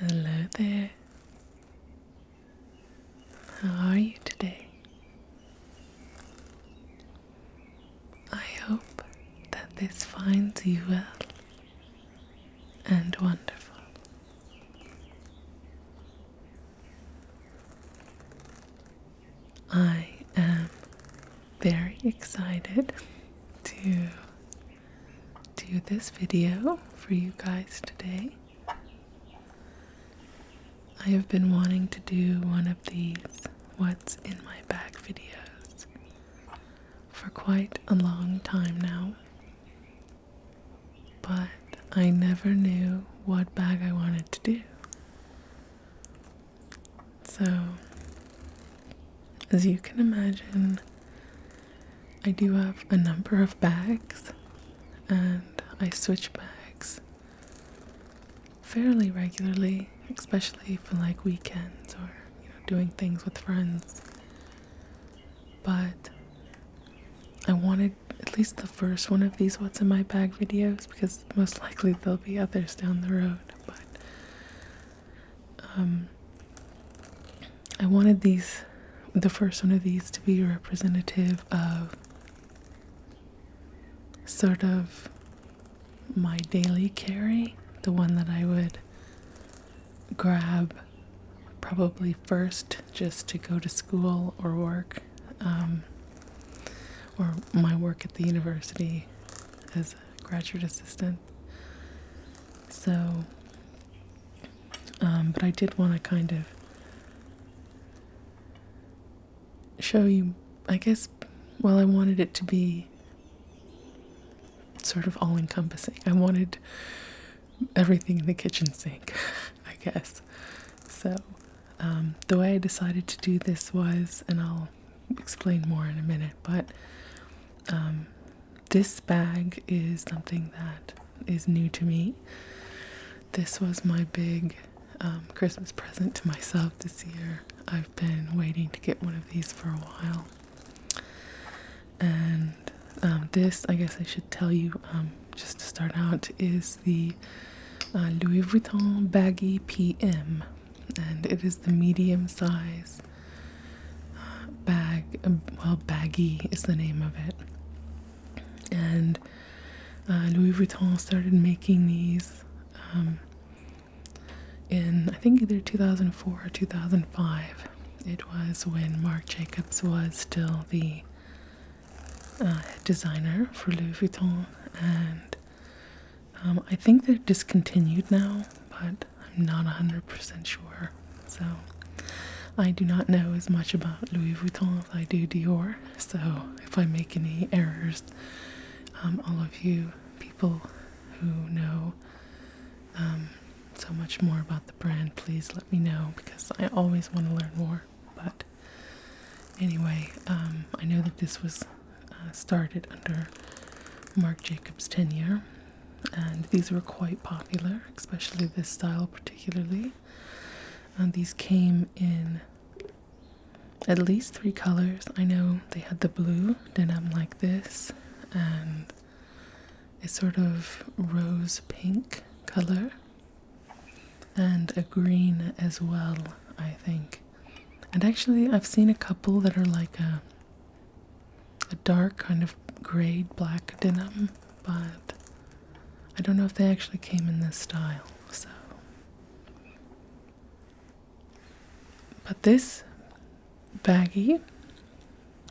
Hello there. How are you today? I hope that this finds you well and wonderful. I am very excited to do this video for you guys today. I have been wanting to do one of these What's in My Bag videos for quite a long time now, but I never knew what bag I wanted to do. So, as you can imagine, I do have a number of bags and I switch bags fairly regularly, especially for like weekends or you know doing things with friends. But I wanted at least the first one of these what's in my bag videos because most likely there'll be others down the road. But um, I wanted these, the first one of these, to be representative of sort of my daily carry, the one that I would grab probably first just to go to school or work um, or my work at the university as a graduate assistant. So, um, but I did want to kind of show you, I guess, well, I wanted it to be sort of all encompassing. I wanted everything in the kitchen sink, I guess. So, um, the way I decided to do this was, and I'll explain more in a minute, but um, this bag is something that is new to me. This was my big um, Christmas present to myself this year. I've been waiting to get one of these for a while. And this, I guess I should tell you, just to start out, is the uh, Louis Vuitton Baggy PM and it is the medium size uh, bag. Um, well, baggy is the name of it. And uh, Louis Vuitton started making these um, in, I think, either 2004 or 2005. It was when Marc Jacobs was still the uh, designer for Louis Vuitton, and um, I think they're discontinued now, but I'm not 100% sure. So I do not know as much about Louis Vuitton as I do Dior. So if I make any errors, um, all of you people who know um, so much more about the brand, please let me know because I always want to learn more. But anyway, I know that this was uh, started under Mark Jacobs' tenure, and these were quite popular, especially this style, particularly. And these came in at least three colors. I know they had the blue denim like this, and a sort of rose pink color, and a green as well, I think. And actually, I've seen a couple that are like a, a dark kind of grayed black denim, but I don't know if they actually came in this style. So, but this baggy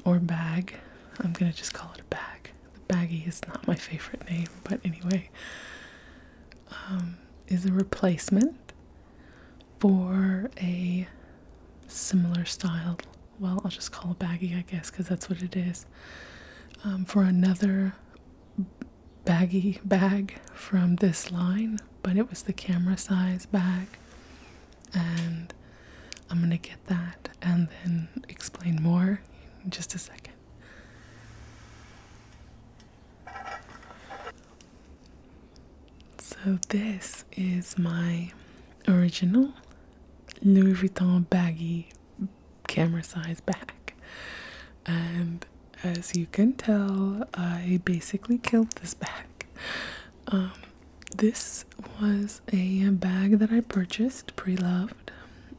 or bag, I'm gonna just call it a bag. The baggy is not my favorite name, but anyway, um, is a replacement for a similar style. Well, I'll just call it baggy, I guess, because that's what it is. Um, for another baggy bag from this line, but it was the camera size bag, and I'm gonna get that and then explain more in just a second. So, this is my original Louis Vuitton baggy camera size bag, and as you can tell, I basically killed this bag. Um, this was a bag that I purchased pre loved.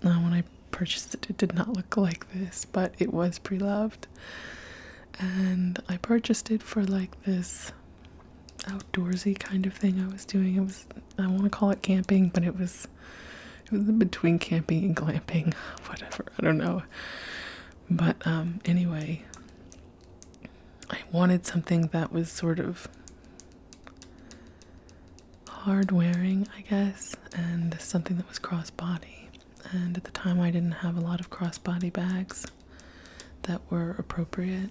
Now, when I purchased it, it did not look like this, but it was pre loved and um, I purchased it for like this outdoorsy kind of thing I was doing. It was I want to call it camping, but it was it was between camping and glamping, whatever. I don't know. But um, anyway, I wanted something that was sort of hard wearing, I guess, and something that was crossbody and at the time I didn't have a lot of crossbody bags that were appropriate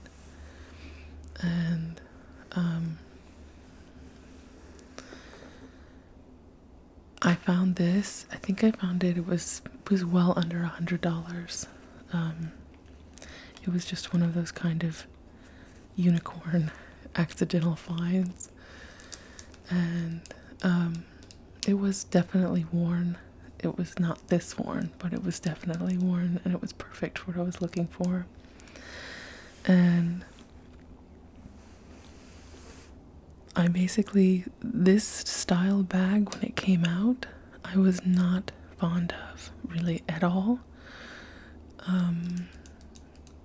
and um, I found this I think I found it it was was well under a hundred dollars um, it was just one of those kind of unicorn accidental finds and um, it was definitely worn. It was not this worn, but it was definitely worn, and it was perfect for what I was looking for. And I basically, this style bag, when it came out, I was not fond of really at all. Um,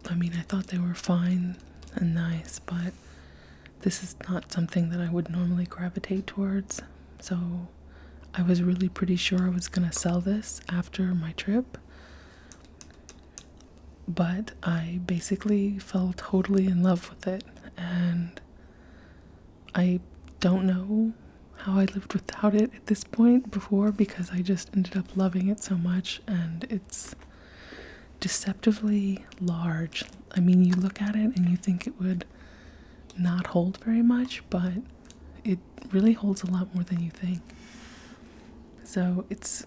I mean, I thought they were fine and nice, but this is not something that I would normally gravitate towards. So I was really pretty sure I was going to sell this after my trip. But I basically fell totally in love with it. And I don't know how I lived without it at this point before because I just ended up loving it so much. And it's deceptively large. I mean, you look at it and you think it would not hold very much, but it really holds a lot more than you think. So it's,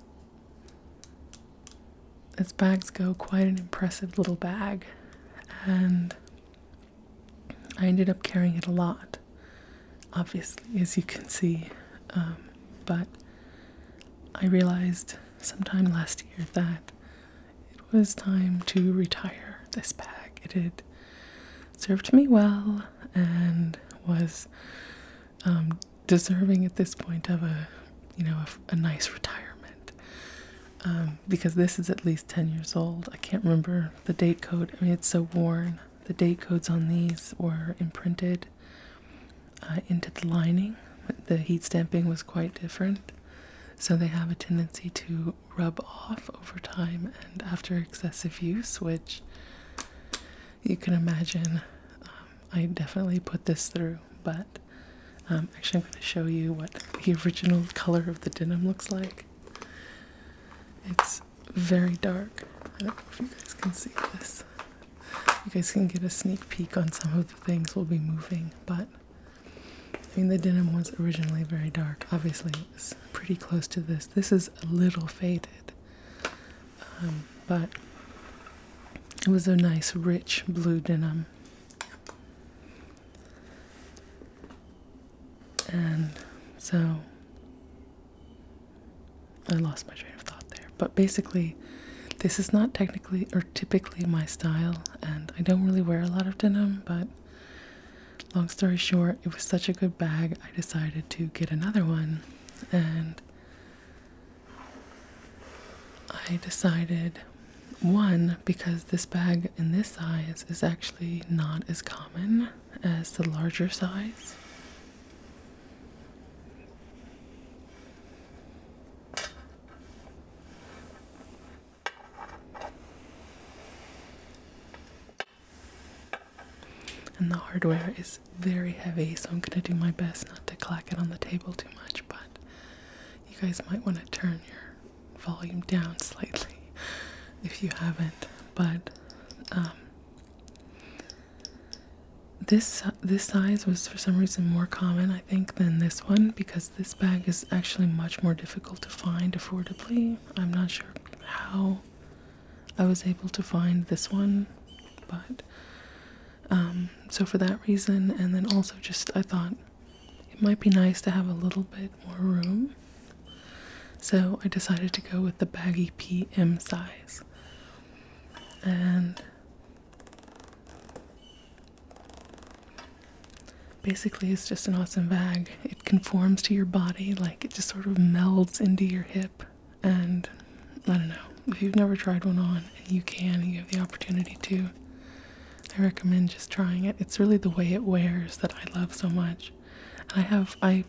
as bags go, quite an impressive little bag. And I ended up carrying it a lot, obviously, as you can see. Um, but I realized sometime last year that it was time to retire this bag. It had served me well and was um, deserving at this point of a you know a, nice retirement um, because this is at least 10 years old i can't remember the date code i mean it's so worn the date codes on these were imprinted uh, into the lining. The heat stamping was quite different, so they have a tendency to rub off over time and after excessive use, which you can imagine. Um, I definitely put this through, but um, actually, I'm going to show you what the original color of the denim looks like. It's very dark. I don't know if you guys can see this. You guys can get a sneak peek on some of the things we'll be moving, but I mean, the denim was originally very dark. Obviously, it was pretty close to this. This is a little faded, um, but it was a nice, rich blue denim. And so I lost my train of thought there. But basically, this is not technically or typically my style, and I don't really wear a lot of denim, but long story short, it was such a good bag, I decided to get another one, and I decided one because this bag in this size is actually not as common as the larger size. And the hardware is very heavy, so I'm going to do my best not to clack it on the table too much, but you guys might want to turn your volume down slightly if you haven't. But um, this this size was for some reason more common, I think, than this one because this bag is actually much more difficult to find affordably. I'm not sure how I was able to find this one, but um, so for that reason, and then also just I thought it might be nice to have a little bit more room, so I decided to go with the baggy PM size. And Basically, it's just an awesome bag. It conforms to your body, like it just sort of melds into your hip. And I don't know, if you've never tried one on and you can, and you have the opportunity to, I recommend just trying it. It's really the way it wears that I love so much. And I have, I've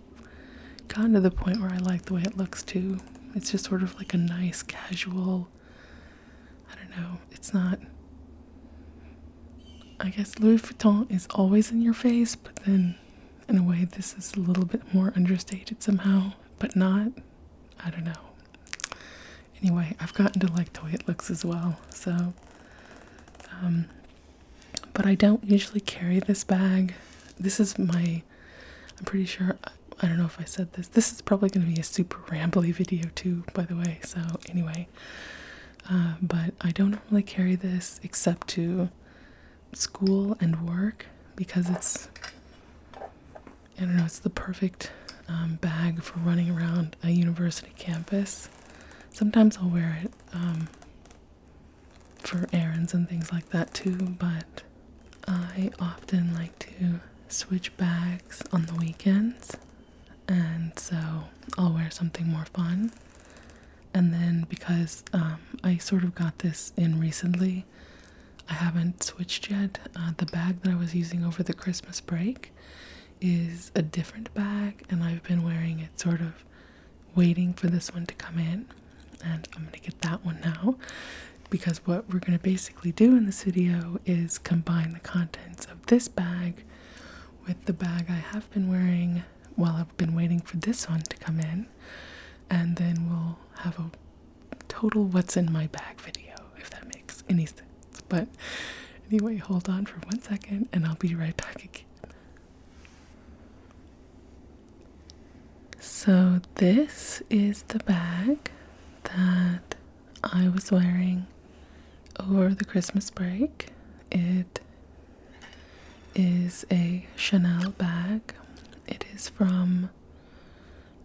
gotten to the point where I like the way it looks too. It's just sort of like a nice, casual, I don't know. It's not I guess Louis Vuitton is always in your face, but then in a way this is a little bit more understated somehow, but not. I don't know. Anyway, I've gotten to like the way it looks as well. So um but I don't usually carry this bag. This is my I'm pretty sure I don't know if I said this. This is probably going to be a super rambly video too, by the way. So anyway, uh, but I don't normally carry this except to school and work because it's I don't know. It's the perfect um, bag for running around a university campus. Sometimes I'll wear it um, for errands and things like that too, but I often like to Switch bags on the weekends, and so I'll wear something more fun. And then because um, I sort of got this in recently, I haven't switched yet. Uh, the bag that I was using over the Christmas break is a different bag, and I've been wearing it sort of waiting for this one to come in. And I'm gonna get that one now because what we're going to basically do in this video is combine the contents of this bag with the bag I have been wearing while I've been waiting for this one to come in, and then we'll have a total what's in my bag video if that makes any sense. But anyway, hold on for one second and I'll be right back again. So, this is the bag that I was wearing over the Christmas break. It is a Chanel bag. It is from,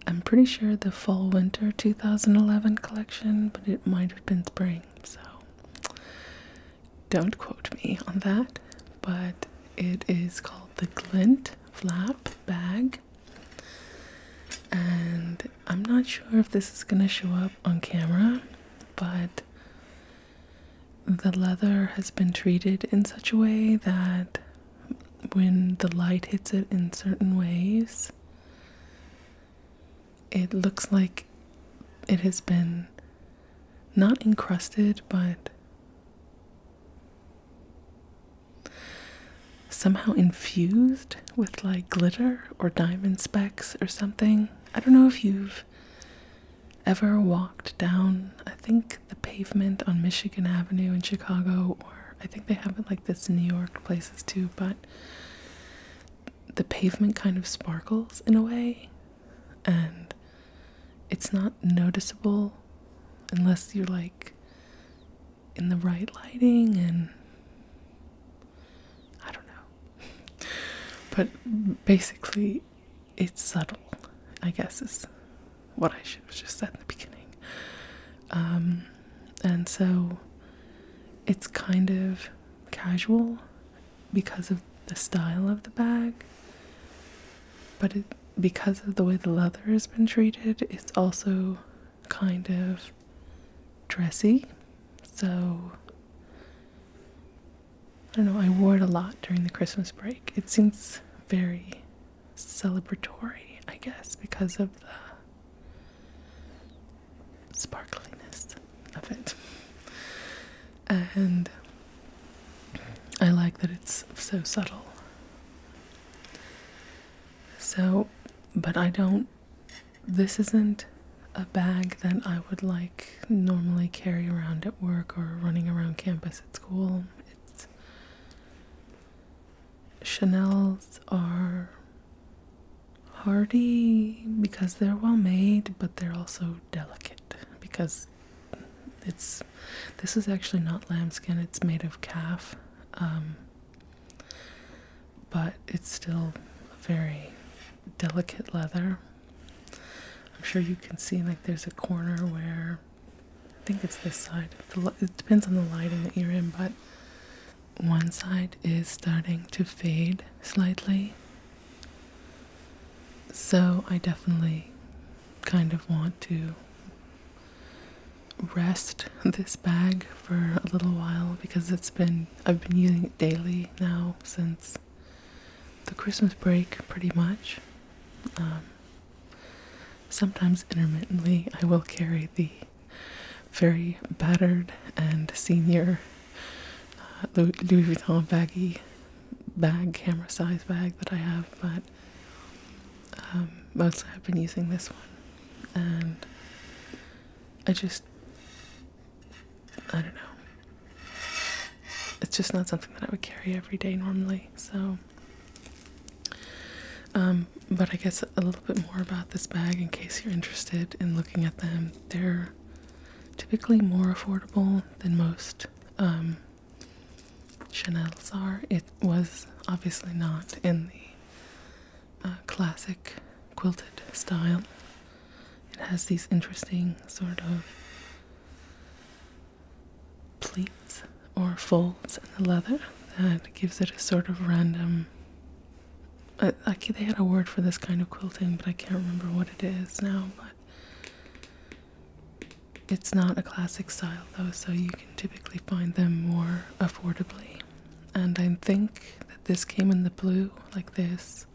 I'm pretty sure, the fall winter 2011 collection, but it might have been spring, so don't quote me on that. But it is called the Glint Flap Bag. And I'm not sure if this is going to show up on camera, but the leather has been treated in such a way that when the light hits it in certain ways, it looks like it has been not encrusted, but somehow infused with like glitter or diamond specks or something. I don't know if you've ever walked down, I think, the pavement on Michigan Avenue in Chicago, or I think they have it like this in New York places too, but the pavement kind of sparkles in a way, and it's not noticeable unless you're like in the right lighting and I don't know. But basically, it's subtle, I guess, is what I should have just said in the beginning. Um, and so it's kind of casual because of the style of the bag, but because of the way the leather has been treated, it's also kind of dressy. So I don't know, I wore it a lot during the Christmas break. It seems very celebratory, I guess, because of the sparkliness of it. And I like that it's so subtle. So, but I don't this isn't a bag that I would like normally carry around at work or running around campus at school. Chanel's are hardy because they're well made, but they're also delicate because it's this is actually not lambskin, it's made of calf. Um, but it's still a very delicate leather. I'm sure you can see like there's a corner where I think it's this side. it depends on the lighting that you're in, but one side is starting to fade slightly. So I definitely kind of want to rest this bag for a little while because it's been I've been using it daily now since the Christmas break pretty much. Um, sometimes intermittently I will carry the very battered and senior uh, Louis Vuitton baggy bag, camera size bag that I have, but um, mostly I've been using this one. And I just I don't know. It's just not something that I would carry every day normally. So, um, but I guess a little bit more about this bag in case you're interested in looking at them. They're typically more affordable than most um, Chanel's are. It was obviously not in the classic quilted style. It has these interesting sort of pleats or folds in the leather that gives it a sort of random. I, I, they had a word for this kind of quilting, but I can't remember what it is now. But it's not a classic style though, so you can typically find them more affordably and I think that this came in the blue like this,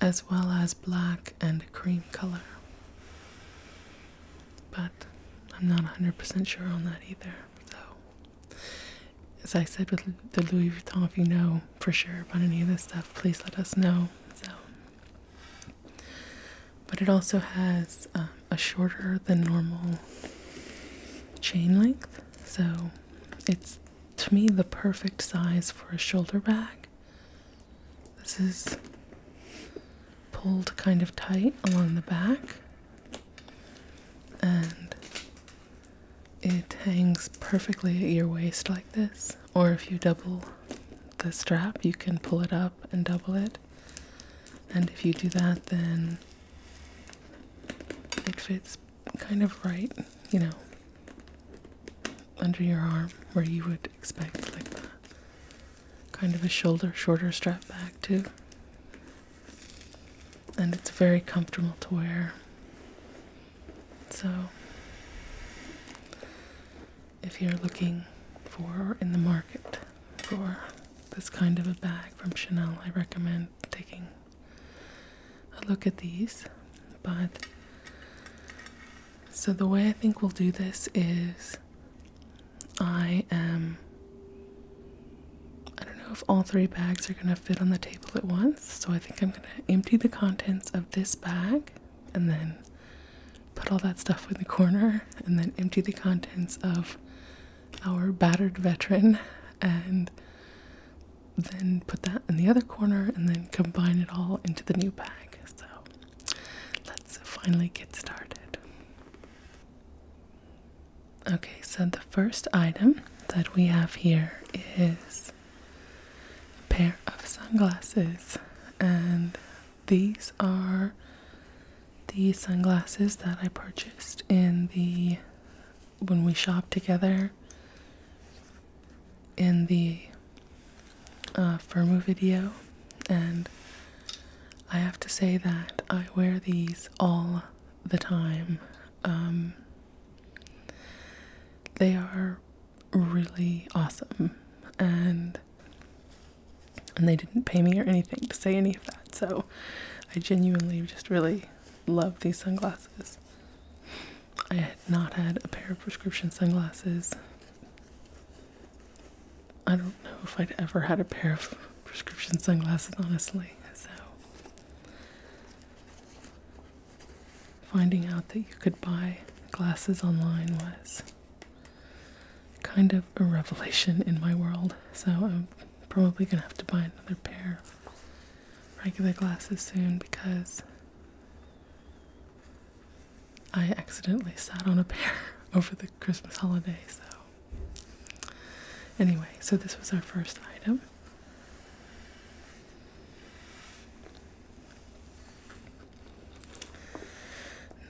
as well as black and a cream color. But I'm not 100% sure on that either. So, as I said with the Louis Vuitton, if you know for sure about any of this stuff, please let us know. So, but it also has uh, a shorter than normal chain length, so it's to me the perfect size for a shoulder bag. This is pulled kind of tight along the back and it hangs perfectly at your waist like this. Or if you double the strap, you can pull it up and double it. And if you do that, then it fits kind of right, you know, under your arm where you would expect like that. Kind of a shoulder, shorter strap back too. And it's very comfortable to wear. So if you're looking for in the market for this kind of a bag from Chanel, I recommend taking a look at these. But so the way I think we'll do this is I am. I don't know if all three bags are going to fit on the table at once, so I think I'm going to empty the contents of this bag and then put all that stuff in the corner and then empty the contents of our battered veteran and then put that in the other corner and then combine it all into the new bag. So let's finally get started. Okay, so the first item that we have here is a pair of sunglasses, and these are the sunglasses that I purchased in the when we shop together in the uh, video, and I have to say that I wear these all the time. Um, they are really awesome, and and they didn't pay me or anything to say any of that, so I genuinely just really love these sunglasses. I had not had a pair of prescription sunglasses. I don't know if I'd ever had a pair of prescription sunglasses, honestly. So, finding out that you could buy glasses online was kind of a revelation in my world. So, I'm probably gonna have to buy another pair regular glasses soon because I accidentally sat on a pair over the Christmas holiday. So, anyway, so this was our first item.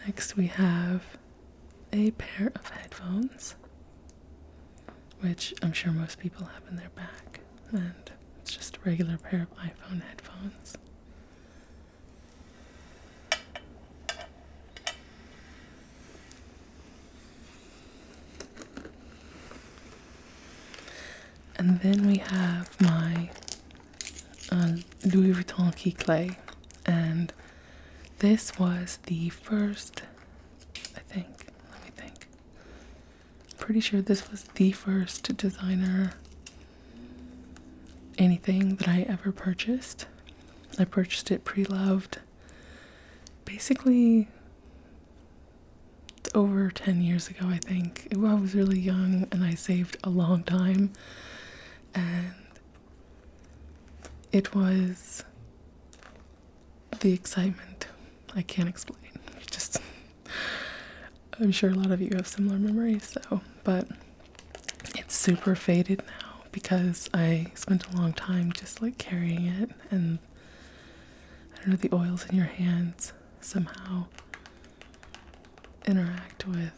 Next, we have a pair of headphones which I'm sure most people have in their back, and it's just a regular pair of iPhone headphones. And then we have my uh, Louis Vuitton key clay, and this was the first, I think. Let me think. Pretty sure this was the first designer anything that I ever purchased. I purchased it pre loved basically over 10 years ago, I think. I was really young and I saved a long time. And it was the excitement. I can't explain. Just, I'm sure a lot of you have similar memories though, but it's super faded now because I spent a long time just like carrying it and I don't know, the oils in your hands somehow interact with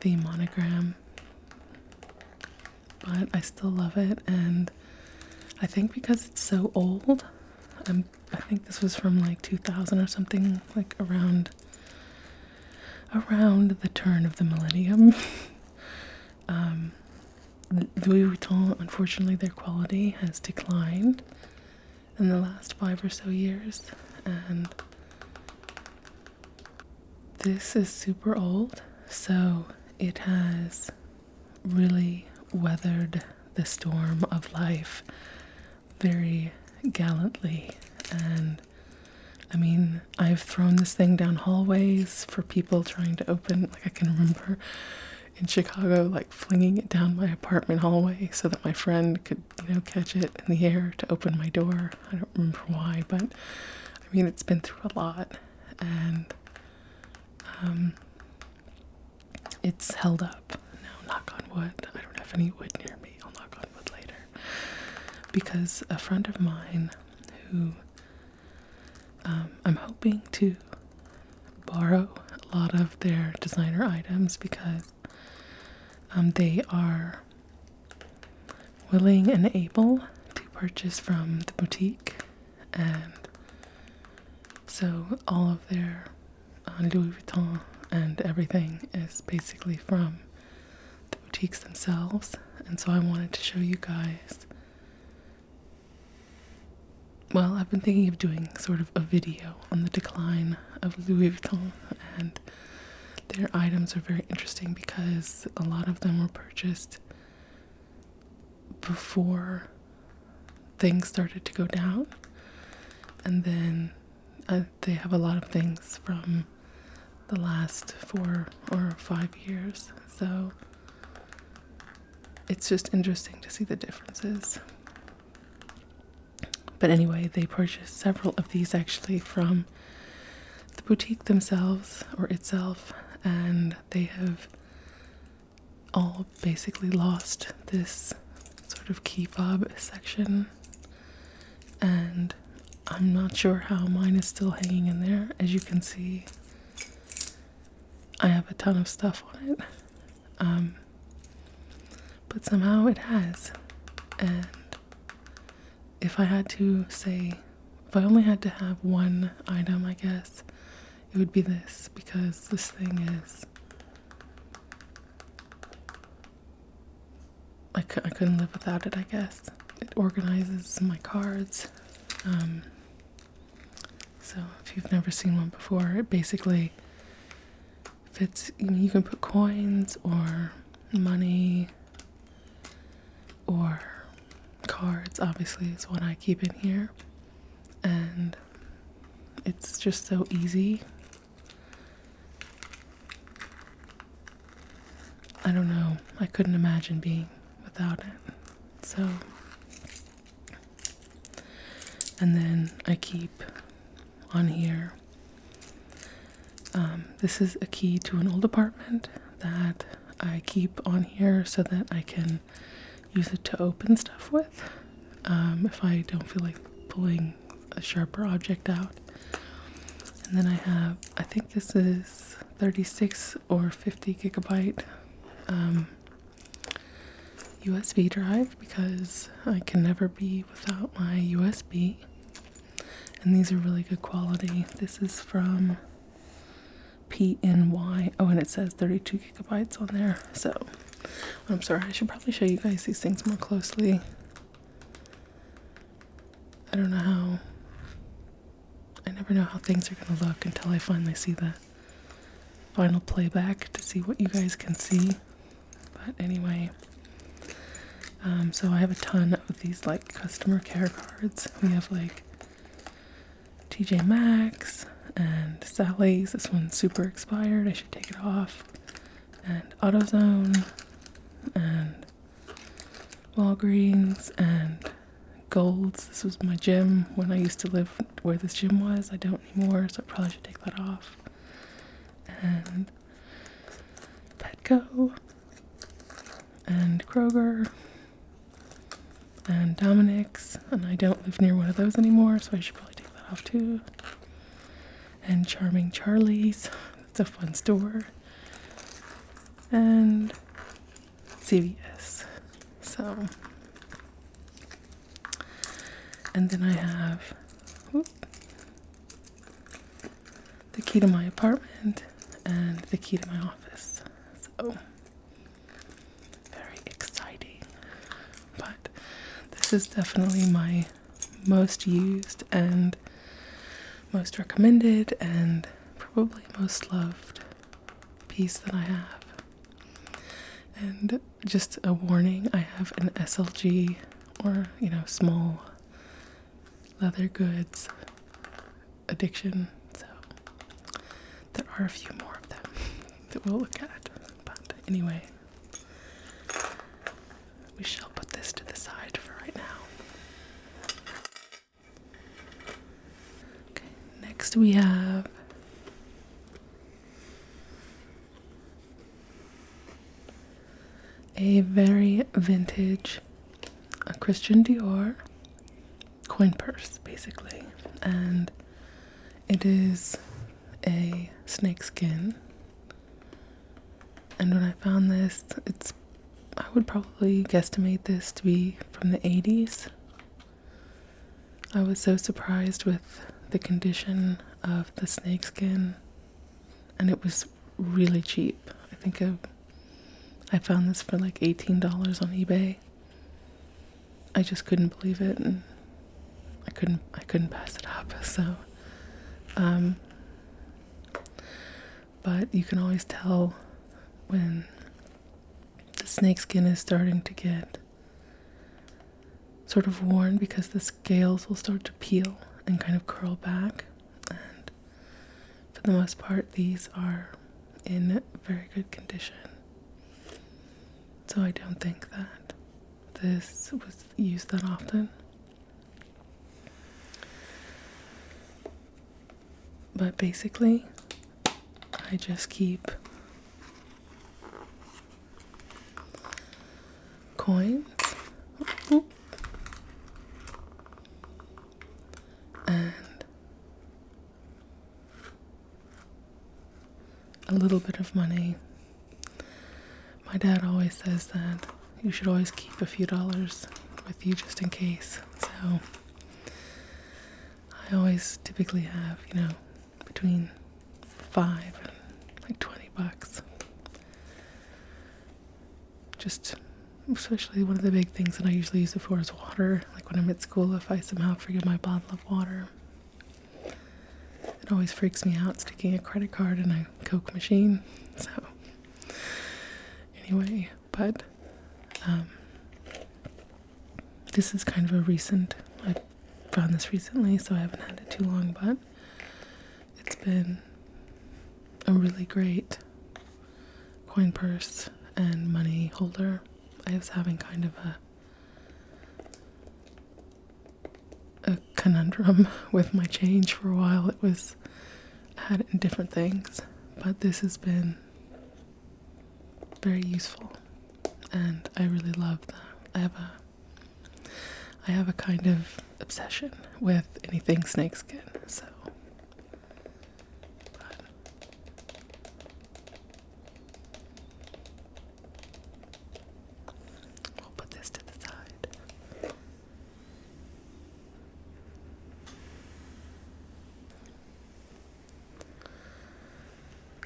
the monogram. But I still love it and I think because it's so old, i think this was from like 2000 or something, like around around the turn of the millennium. Um, Louis Vuitton, unfortunately, their quality has declined in the last five or so years, and this is super old, so it has really weathered the storm of life very gallantly. And I mean, I've thrown this thing down hallways for people trying to open. Like, I can remember in Chicago, like flinging it down my apartment hallway so that my friend could, you know, catch it in the air to open my door. I don't remember why, but I mean, it's been through a lot. And, um, it's held up. No, knock on wood. I don't have any wood near me. I'll knock on wood later. Because a friend of mine who um, I'm hoping to borrow a lot of their designer items because um, they are willing and able to purchase from the boutique and so all of their uh, Louis Vuitton and everything is basically from the boutiques themselves. And so I wanted to show you guys. Well, I've been thinking of doing sort of a video on the decline of Louis Vuitton, and their items are very interesting because a lot of them were purchased before things started to go down. And then uh, they have a lot of things from the last four or five years. So it's just interesting to see the differences. But anyway, they purchased several of these actually from the boutique themselves or itself, and they have all basically lost this sort of key fob section, and I'm not sure how mine is still hanging in there. As you can see, I have a ton of stuff on it, um, but somehow it has. And if I had to say, if I only had to have one item, I guess it would be this because this thing is I, I couldn't live without it I guess it organizes my cards um, so if you've never seen one before it basically fits you can put coins or money or cards obviously is what I keep in here and it's just so easy. I don't know. I couldn't imagine being without it. So, and then I keep on here. Um, this is a key to an old apartment that I keep on here so that I can use it to open stuff with um, if I don't feel like pulling a sharper object out. And then I have, I think this is 36 or 50 gigabyte USB um, drive because I can never be without my USB. And these are really good quality. This is from PNY. Oh, and it says 32 gigabytes on there. So I'm sorry, I should probably show you guys these things more closely. I don't know how. I never know how things are going to look until I finally see the final playback to see what you guys can see. But anyway, um, so I have a ton of these like customer care cards. We have like TJ Maxx and Sally's. This one's super expired. I should take it off. And AutoZone and Walgreens and Gold's. This was my gym when I used to live where this gym was. I don't anymore, so I probably should take that off. And Petco and Kroger and Dominic's, and I don't live near one of those anymore, so I should probably take that off too. And Charming Charlie's, that's a fun store. And CVS. So, and then I have the key to my apartment and the key to my office. So, very exciting. But this is definitely my most used and most recommended and probably most loved piece that I have. And just a warning, I have an SLG or, you know, small leather goods addiction. So there are a few more of them that we'll look at. But anyway, we shall put this to the side for right now. Okay, next we have a very vintage a uh, Christian Dior coin purse, basically. And it is a snake skin. And when I found this, it's I would probably guesstimate this to be from the 80s. I was so surprised with the condition of the snake skin and it was really cheap. I think I, I found this for like $18 on eBay. I just couldn't believe it and I couldn't I couldn't pass it up so um, but you can always tell when the snake skin is starting to get sort of worn because the scales will start to peel and kind of curl back and for the most part these are in very good condition so I don't think that this was used that often. But basically, I just keep coins and a little bit of money. My dad always says that you should always keep a few dollars with you just in case. So I always typically have, you know, between five and like 20 bucks. Just especially one of the big things that I usually use it for is water. Like when I'm at school, if I somehow forget my bottle of water, it always freaks me out sticking a credit card in a Coke machine. So, anyway, but um, this is kind of a recent, I found this recently, so I haven't had it too long, but it's been a really great coin purse and money holder. I was having kind of a a conundrum with my change for a while. It was I had it in different things, but this has been very useful, and I really love that. I have a I have a kind of obsession with anything snakeskin, so. We'll put this to the side.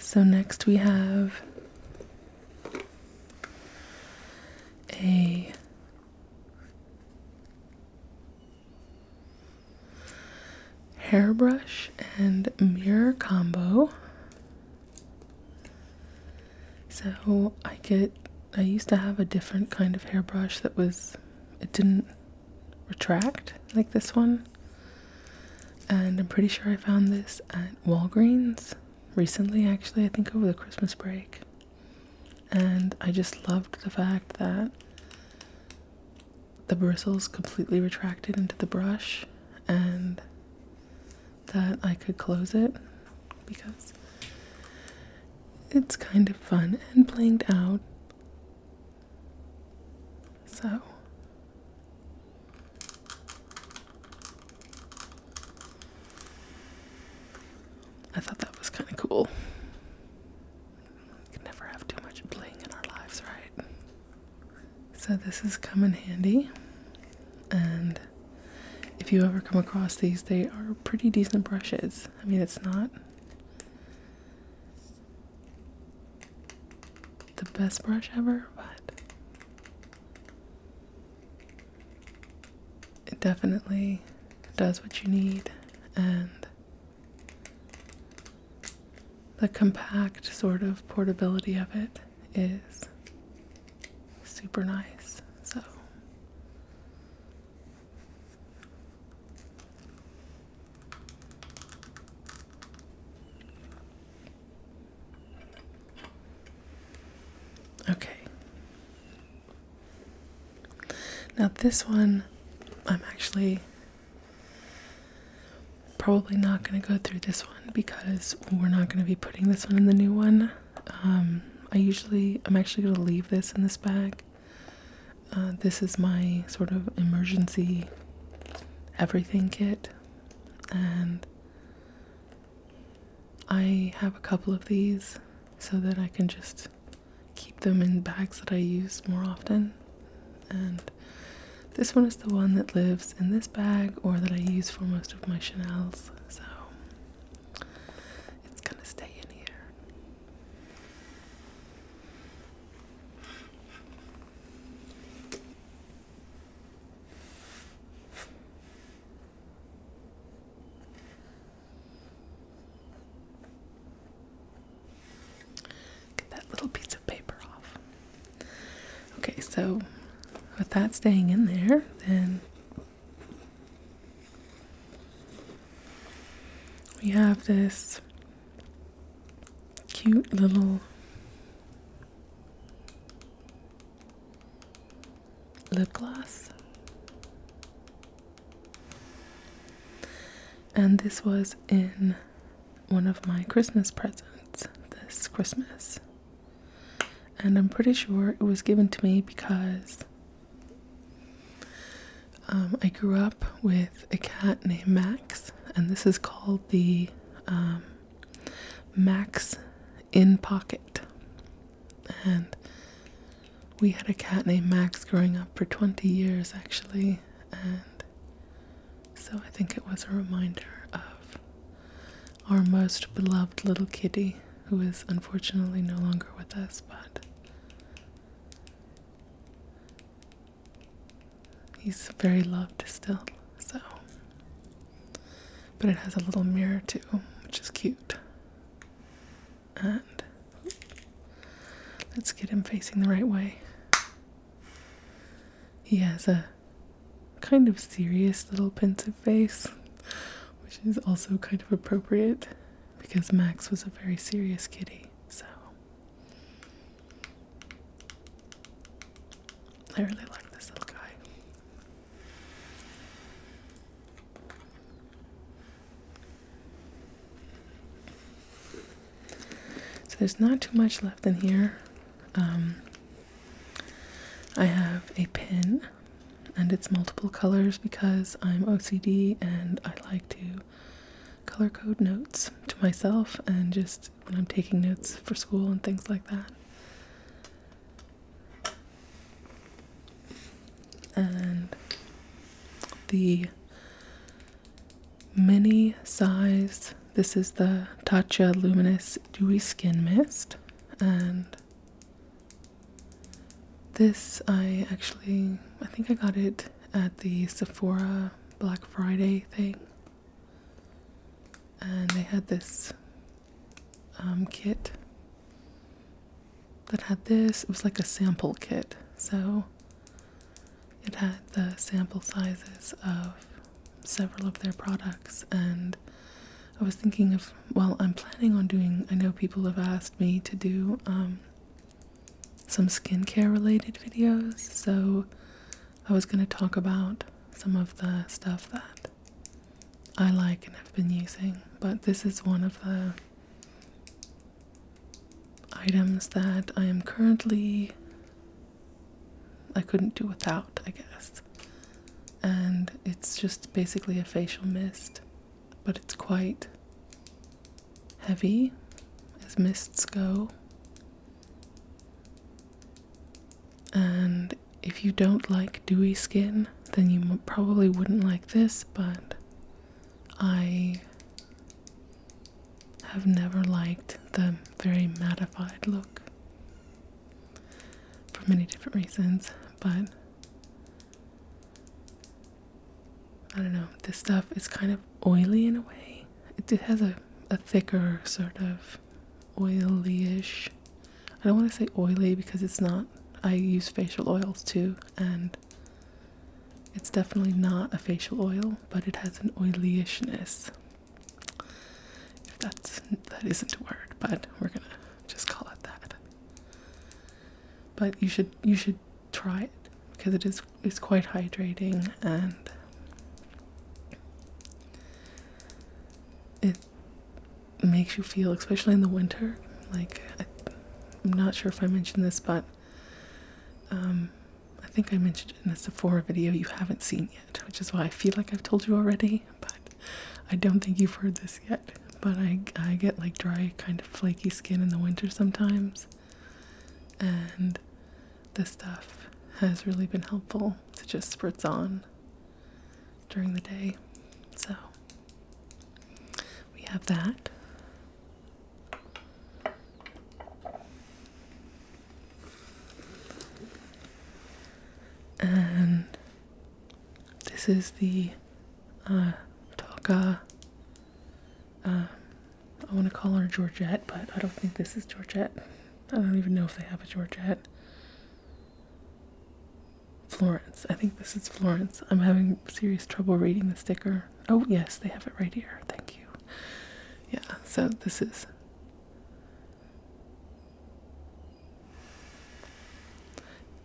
So, next we have a hairbrush and mirror combo so I get I used to have a different kind of hairbrush that was it didn't retract like this one. And I'm pretty sure I found this at Walgreens recently actually, I think over the Christmas break. And I just loved the fact that the bristles completely retracted into the brush and that I could close it because it's kind of fun and blinged out. So. I thought that was kind of cool. We can never have too much bling in our lives, right? So this has come in handy. And if you ever come across these, they are pretty decent brushes. I mean, it's not the best brush ever, but it definitely does what you need and the compact sort of portability of it is super nice. So Okay. Now this one I'm actually probably not going to go through this one because we're not going to be putting this one in the new one. Um, I usually, I'm actually going to leave this in this bag. Uh, this is my sort of emergency everything kit. And I have a couple of these so that I can just keep them in bags that I use more often. And this one is the one that lives in this bag or that I use for most of my Chanel's, so it's gonna stay in here. Get that little piece of paper off. Okay, so with that staying in there, then we have this cute little lip gloss. And this was in one of my Christmas presents this Christmas. And I'm pretty sure it was given to me because um, I grew up with a cat named Max, and this is called the um, Max in Pocket. And we had a cat named Max growing up for 20 years actually, and so I think it was a reminder of our most beloved little kitty, who is unfortunately no longer with us, but he's very loved still, so. But it has a little mirror too, which is cute. And let's get him facing the right way. He has a kind of serious little pensive face, which is also kind of appropriate because Max was a very serious kitty. So I really like this little guy. So there's not too much left in here. Um, I have a pin and it's multiple colors because I'm OCD and I like to color code notes to myself and just when I'm taking notes for school and things like that. And the mini size this is the Tatcha Luminous Dewy Skin Mist, and this I actually I think I got it at the Sephora Black Friday thing, and they had this um, kit that had this. It was like a sample kit, so it had the sample sizes of several of their products and I was thinking of well I'm planning on doing I know people have asked me to do um, some skincare related videos so I was going to talk about some of the stuff that I like and have been using but this is one of the items that I am currently I couldn't do without, I guess. And it's just basically a facial mist, but it's quite heavy as mists go. And if you don't like dewy skin, then you probably wouldn't like this, but I have never liked the very mattified look for many different reasons, but I don't know. This stuff is kind of oily in a way. It, has a, a thicker sort of oily-ish. I don't want to say oily because it's not. I use facial oils too, and it's definitely not a facial oil, but it has an oilyishness. If that's that isn't a word, but we're gonna just call it that. But you should you should try it because it is it's quite hydrating and it makes you feel, especially in the winter. Like I, am not sure if I mentioned this, but um, I think I mentioned in a Sephora video you haven't seen yet, which is why I feel like I've told you already but I don't think you've heard this yet. But I, I get like dry, kind of flaky skin in the winter sometimes, and this stuff has really been helpful to just spritz on during the day. So we have that. And this is the uh, uh I want to call her Georgette, but I don't think this is Georgette. I don't even know if they have a Georgette. Florence. I think this is Florence. I'm having serious trouble reading the sticker. Oh, yes, they have it right here. Thank you. Yeah, so this is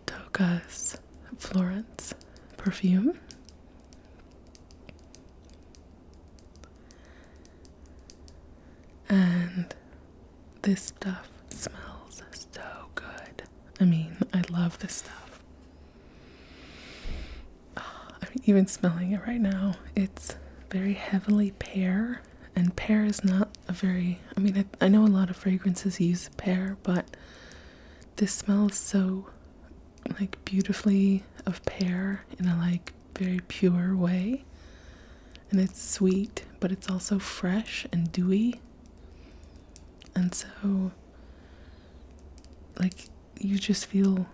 Toka's Florence perfume. And this stuff smells so good. I mean, I love this stuff. Ah, I am even smelling it right now, it's very heavily pear and pear is not a very, I mean, I, I know a lot of fragrances use pear, but this smells so like beautifully of pear in a like very pure way. And it's sweet, but it's also fresh and dewy. And so, like, you just feel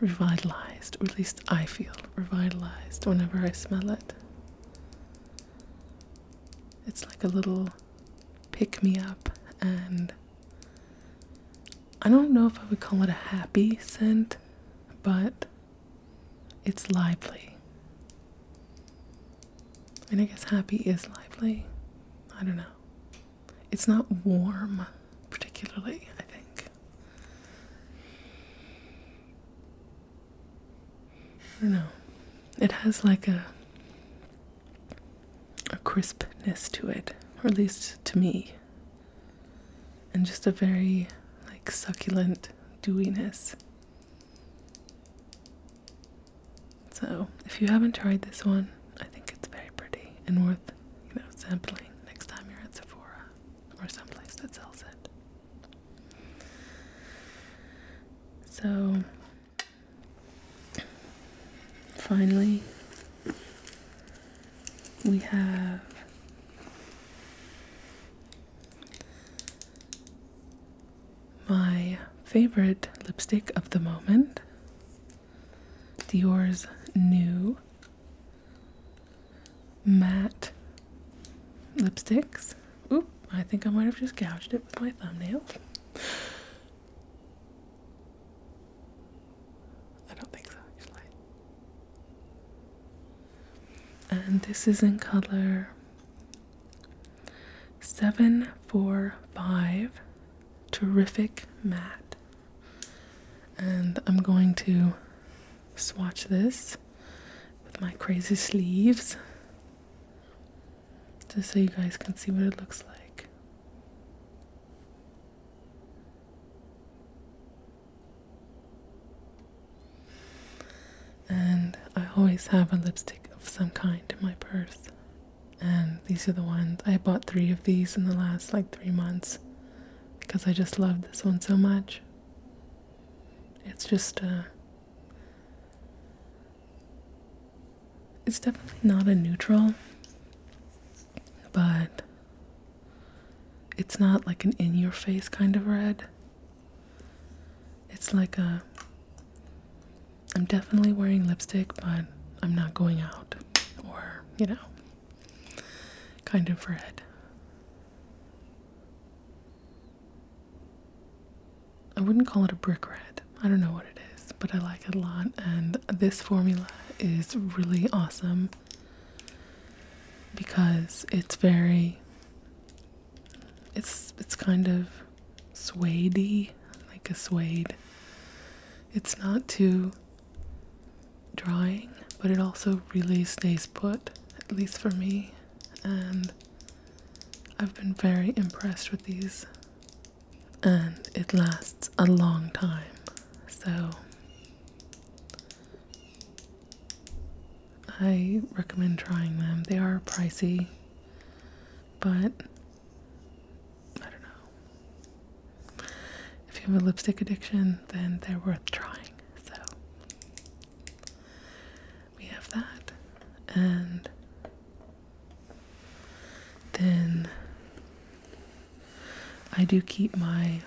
revitalized, or at least I feel revitalized whenever I smell it. It's like a little pick me up, and I don't know if I would call it a happy scent, but it's lively. And I guess happy is lively. I don't know. It's not warm, particularly, I think. I don't know. It has like a a crispness to it, or at least to me. And just a very like succulent dewiness. So, if you haven't tried this one, I think it's very pretty and worth, you know, sampling next time you're at Sephora or someplace that sells it. So finally, we have my favorite lipstick of the moment Dior's new matte lipsticks. Oop, I think I might have just gouged it with my thumbnail. I don't think so, actually. And this is in color 745 Terrific Matte. And I'm going to swatch this with my crazy sleeves just so you guys can see what it looks like. And I always have a lipstick of some kind in my purse. And these are the ones I bought three of these in the last like three months because I just love this one so much. It's just, uh, it's definitely not a neutral, but it's not like an in your face kind of red. It's like a, I'm definitely wearing lipstick, but I'm not going out, or, you know, kind of red. I wouldn't call it a brick red. I don't know what it is, but I like it a lot. And this formula is really awesome because it's very it's it's kind of suedey, like a suede. It's not too drying, but it also really stays put, at least for me. And I've been very impressed with these, and it lasts a long time. So, I recommend trying them. They are pricey, but I don't know. If you have a lipstick addiction, then they're worth trying. So, we have that, and then I do keep my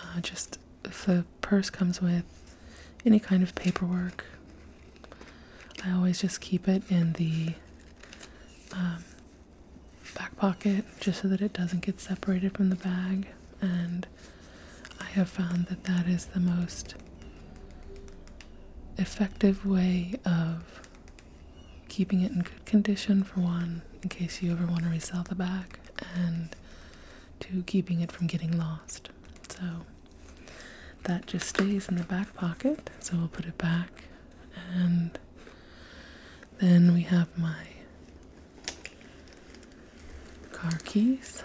uh, just if the purse comes with any kind of paperwork, I always just keep it in the um, back pocket just so that it doesn't get separated from the bag and I have found that that is the most effective way of keeping it in good condition for one, in case you ever want to resell the bag, and to keeping it from getting lost. So that just stays in the back pocket, so we'll put it back and then we have my car keys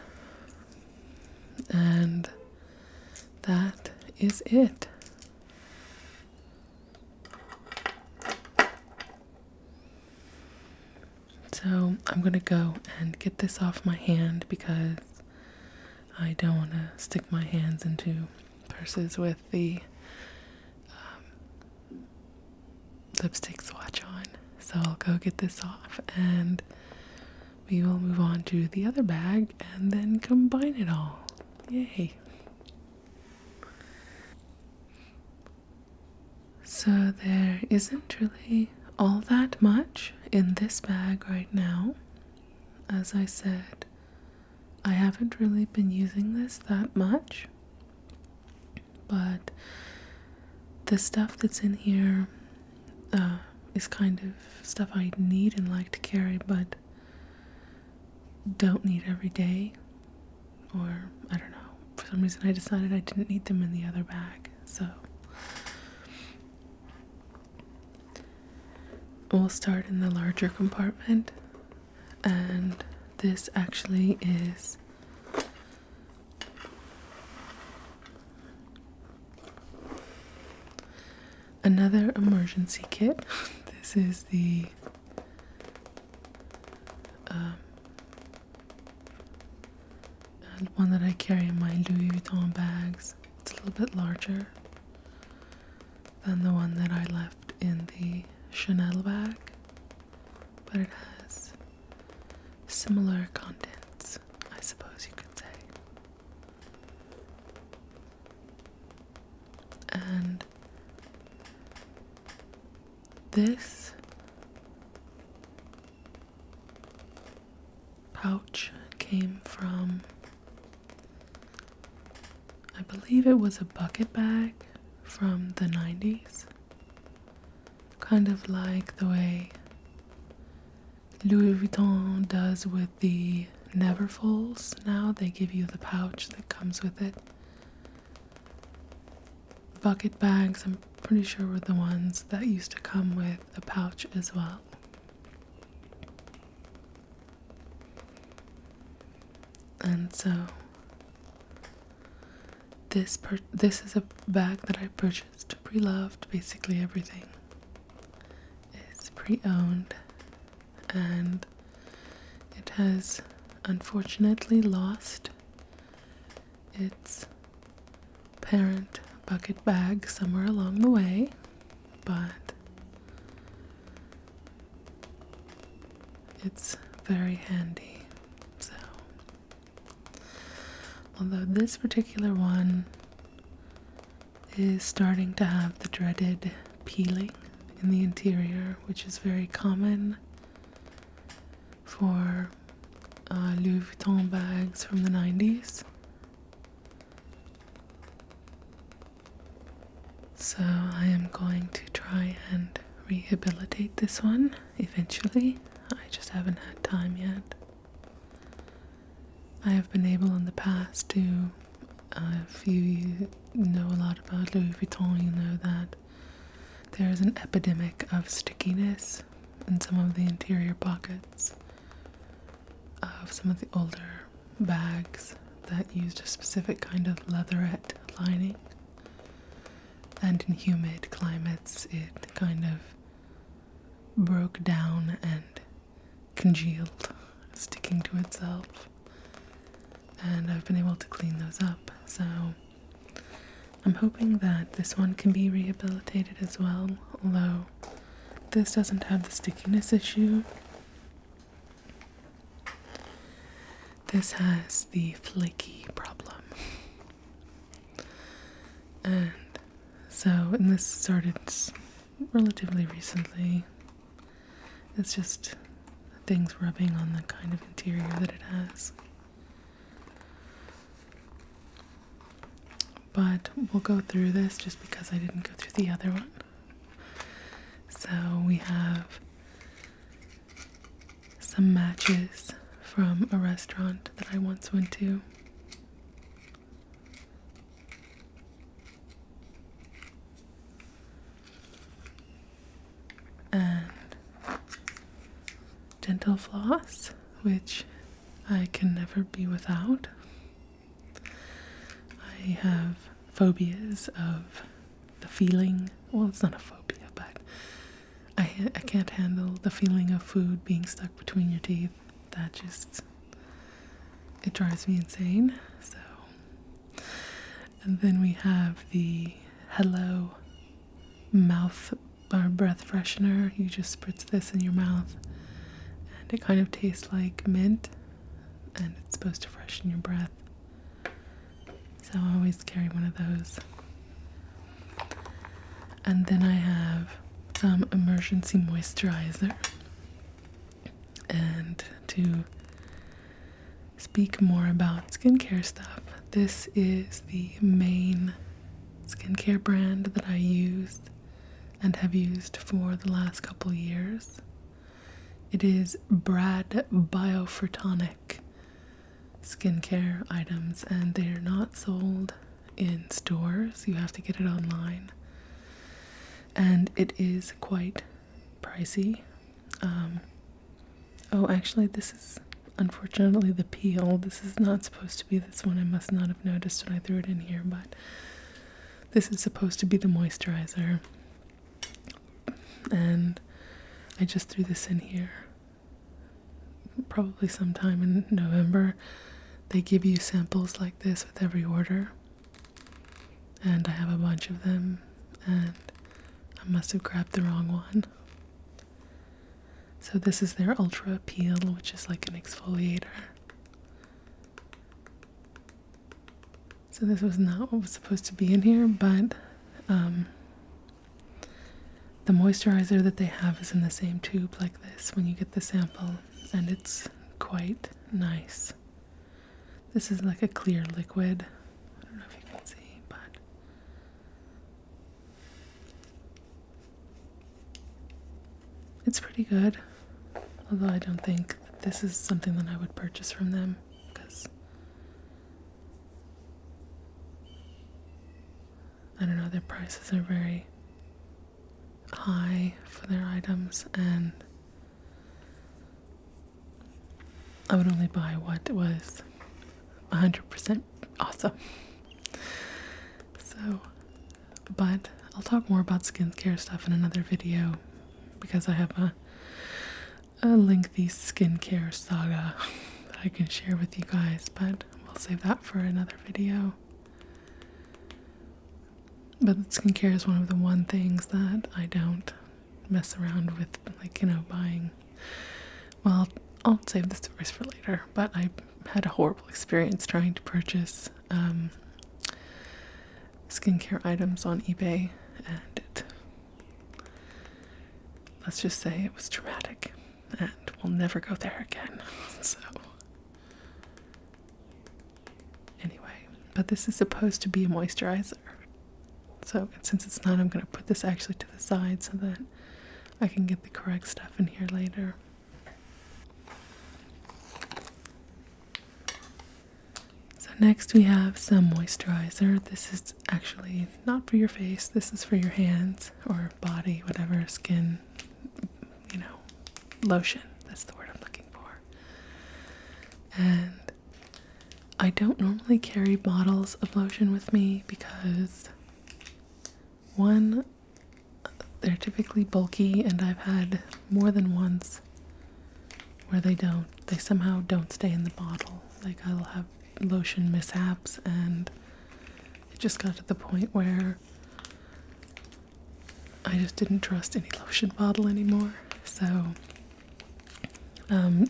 and that is it. So I'm going to go and get this off my hand because I don't want to stick my hands into purses with the um, lipstick swatch on. So I'll go get this off and we will move on to the other bag and then combine it all. Yay! So there isn't really all that much in this bag right now. As I said, I haven't really been using this that much, but the stuff that's in here uh, is kind of stuff I need and like to carry, but don't need every day. Or, I don't know. For some reason, I decided I didn't need them in the other bag, so. We'll start in the larger compartment, and this actually is Another emergency kit. This is the um, one that I carry in my Louis Vuitton bags. It's a little bit larger than the one that I left in the Chanel bag, but it has similar contents, I suppose you could say. And this pouch came from, I believe it was a bucket bag from the 90s. Kind of like the way Louis Vuitton does with the never now. They give you the pouch that comes with it. Bucket bags, I'm pretty sure, were the ones that used to come with a pouch as well. And so this purchase this is a bag that I purchased pre-loved. Basically everything It's pre-owned, and it has unfortunately lost its parent bucket bag somewhere along the way, but it's very handy. So Although this particular one is starting to have the dreaded peeling in the interior, which is very common for uh, Louis Vuitton bags from the 90s. So I am going to try and rehabilitate this one eventually. I just haven't had time yet. I have been able in the past to, uh, if you know a lot about Louis Vuitton, you know that there is an epidemic of stickiness in some of the interior pockets of some of the older bags that used a specific kind of leatherette lining. And in humid climates, it kind of broke down and congealed, sticking to itself. And I've been able to clean those up. So I'm hoping that this one can be rehabilitated as well, although this doesn't have the stickiness issue. This has the flaky problem. And so, and this started relatively recently. It's just things rubbing on the kind of interior that it has. But we'll go through this just because I didn't go through the other one. So we have some matches from a restaurant that I once went to and dental floss, which I can never be without. I have phobias of the feeling. Well, it's not a phobia, but I, I can't handle the feeling of food being stuck between your teeth that just it drives me insane. So and then we have the hello mouth or uh, breath freshener. You just spritz this in your mouth and it kind of tastes like mint and it's supposed to freshen your breath. So I always carry one of those. And then I have some emergency moisturizer and to speak more about skincare stuff. This is the main skincare brand that I use and have used for the last couple years. It is Brad Biofertonic skincare items, and they are not sold in stores, you have to get it online, and it is quite pricey. Um, oh, actually, this is unfortunately the peel. This is not supposed to be this one. I must not have noticed when I threw it in here, but this is supposed to be the moisturizer, and I just threw this in here probably sometime in November. They give you samples like this with every order, and I have a bunch of them, and I must have grabbed the wrong one. So, this is their Ultra Peel, which is like an exfoliator. So, this was not what was supposed to be in here, but um, the moisturizer that they have is in the same tube like this when you get the sample and it's quite nice. This is like a clear liquid. I don't know if you can see, but it's pretty good. Although I don't think this is something that I would purchase from them because I don't know, their prices are very high for their items and I would only buy what was 100% awesome. So, but I'll talk more about skincare stuff in another video because I have a, a lengthy skincare saga that I can share with you guys, but we'll save that for another video. But skincare is one of the one things that I don't mess around with, like, you know, buying. Well, I'll save the stories for later, but I had a horrible experience trying to purchase um, skincare items on eBay, and it, let's just say it was traumatic, and we'll never go there again. so, Anyway, but this is supposed to be a moisturizer. So since it's not, I'm going to put this actually to the side so that I can get the correct stuff in here later. So next we have some moisturizer. This is actually not for your face. This is for your hands or body, whatever, skin, you know, lotion. That's the word I'm looking for. And I don't normally carry bottles of lotion with me because one, they're typically bulky, and I've had more than once where they don't, they somehow don't stay in the bottle. Like I'll have lotion mishaps, and it just got to the point where I just didn't trust any lotion bottle anymore. So um,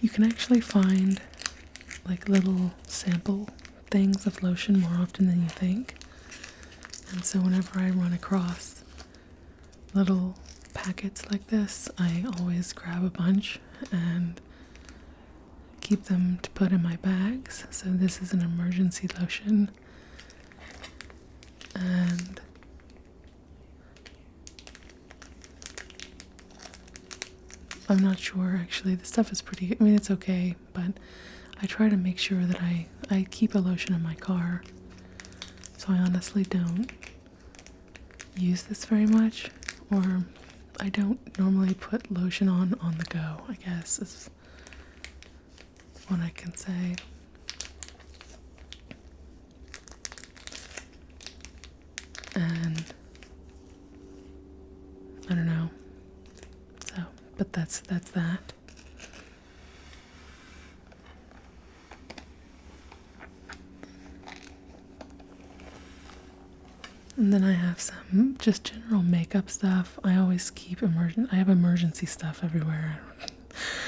you can actually find like little sample things of lotion more often than you think. And so whenever I run across little packets like this, I always grab a bunch and keep them to put in my bags. So this is an emergency lotion and I'm not sure actually. The stuff is pretty I mean it's okay, but I try to make sure that I I keep a lotion in my car. So I honestly don't use this very much or I don't normally put lotion on on the go, I guess what I can say. And I don't know. So, but that's that's that. And then I have some Hmm, just general makeup stuff. I always keep emergent. I have emergency stuff everywhere.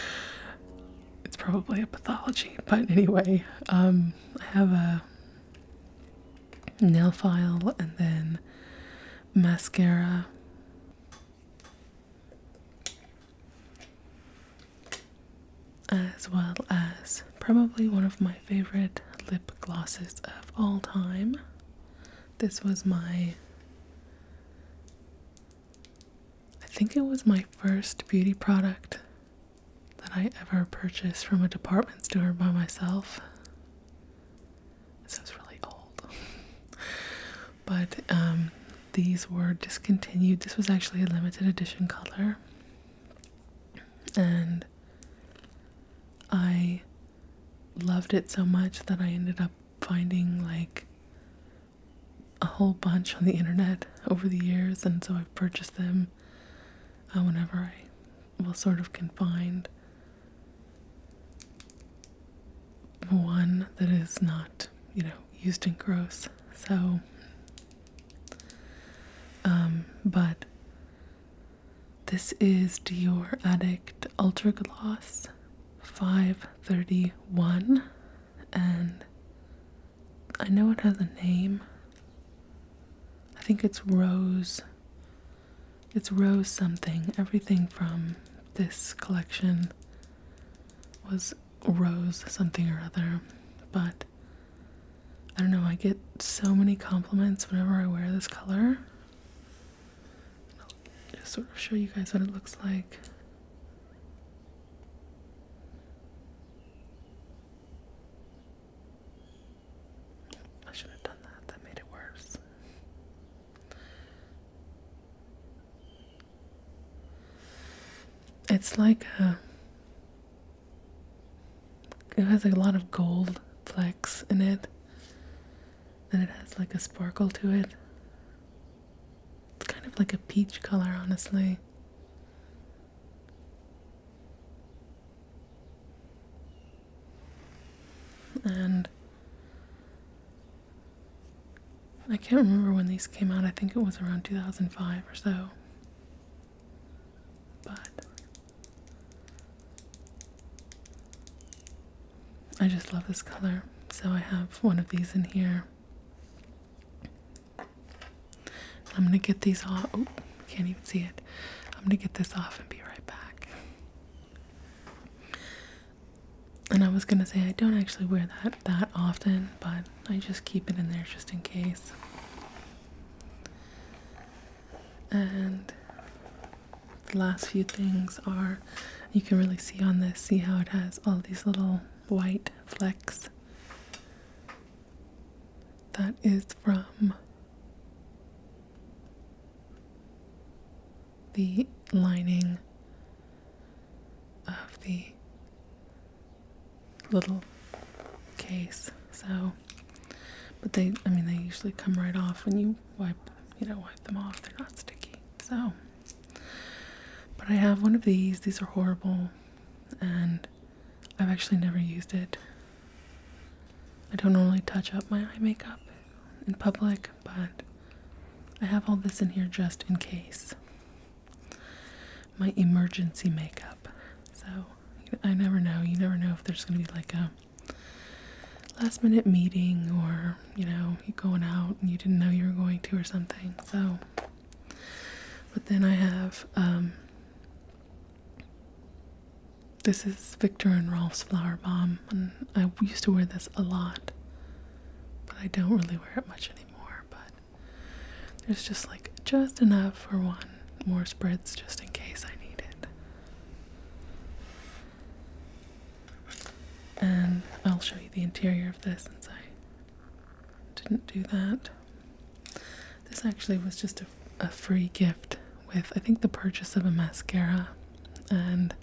it's probably a pathology, but anyway, um, I have a nail file and then mascara. As well as probably one of my favorite lip glosses of all time. This was my I think it was my first beauty product that I ever purchased from a department store by myself. This is really old. but um, these were discontinued. This was actually a limited edition color. And I loved it so much that I ended up finding like a whole bunch on the internet over the years, and so I've purchased them uh, whenever I will sort of can find one that is not, you know, used and gross. So, um, but this is Dior Addict Ultra Gloss 531 and I know it has a name. I think it's Rose. It's Rose something. Everything from this collection was Rose something or other. But I don't know, I get so many compliments whenever I wear this color. I'll just sort of show you guys what it looks like. I should have done that, that made it worse. It's like a. It has a lot of gold flecks in it and it has like a sparkle to it. It's kind of like a peach color, honestly. And I can't remember when these came out. I think it was around 2005 or so. But I just love this color. So I have one of these in here. I'm gonna get these off. Oh, can't even see it. I'm gonna get this off and be right back. And I was gonna say I don't actually wear that that often, but I just keep it in there just in case. And the last few things are you can really see on this see how it has all these little white flecks that is from the lining of the little case so but they i mean they usually come right off when you wipe you know, wipe them off. They're not sticky. So, but I have one of these. These are horrible, and I've actually never used it. I don't normally touch up my eye makeup in public, but I have all this in here just in case. My emergency makeup. So, I never know. You never know if there's going to be like a last minute meeting or you know you going out and you didn't know you were going to or something so but then i have um, this is victor and rolf's flower bomb and i used to wear this a lot but i don't really wear it much anymore but there's just like just enough for one more spreads just in case i need it and I'll show you the interior of this since I didn't do that. This actually was just a, free gift with, I think, the purchase of a mascara, and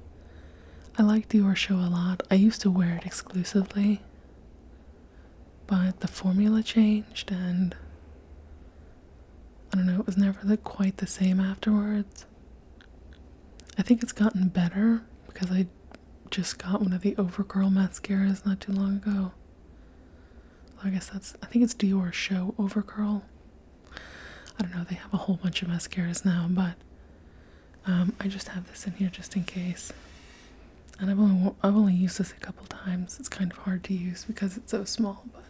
I liked your Show a lot. I used to wear it exclusively, but the formula changed, and I don't know, it was never quite the same afterwards. I think it's gotten better because I just got one of the Overgirl mascaras not too long ago. I guess that's, I think it's Dior Show Overgirl. I don't know, they have a whole bunch of mascaras now, but um, I just have this in here just in case. And I've only, I've only used this a couple times. It's kind of hard to use because it's so small, but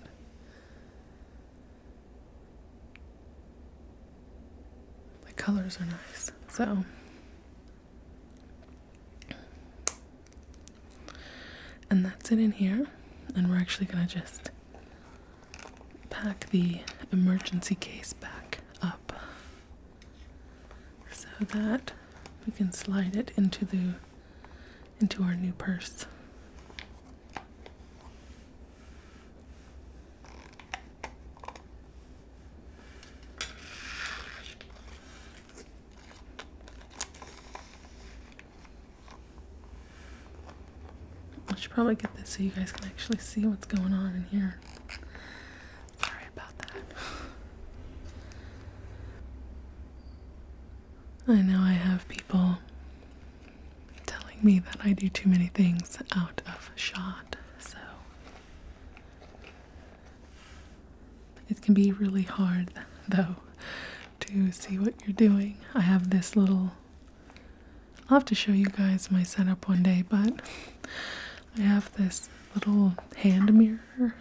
the colors are nice. So and that's it in here. And we're actually gonna just pack the emergency case back up so that we can slide it into the into our new purse. I should probably get this so you guys can actually see what's going on in here. Sorry about that. I know I have people telling me that I do too many things out of shot, so it can be really hard though to see what you're doing. I have this little I'll have to show you guys my setup one day, but I have this little hand mirror,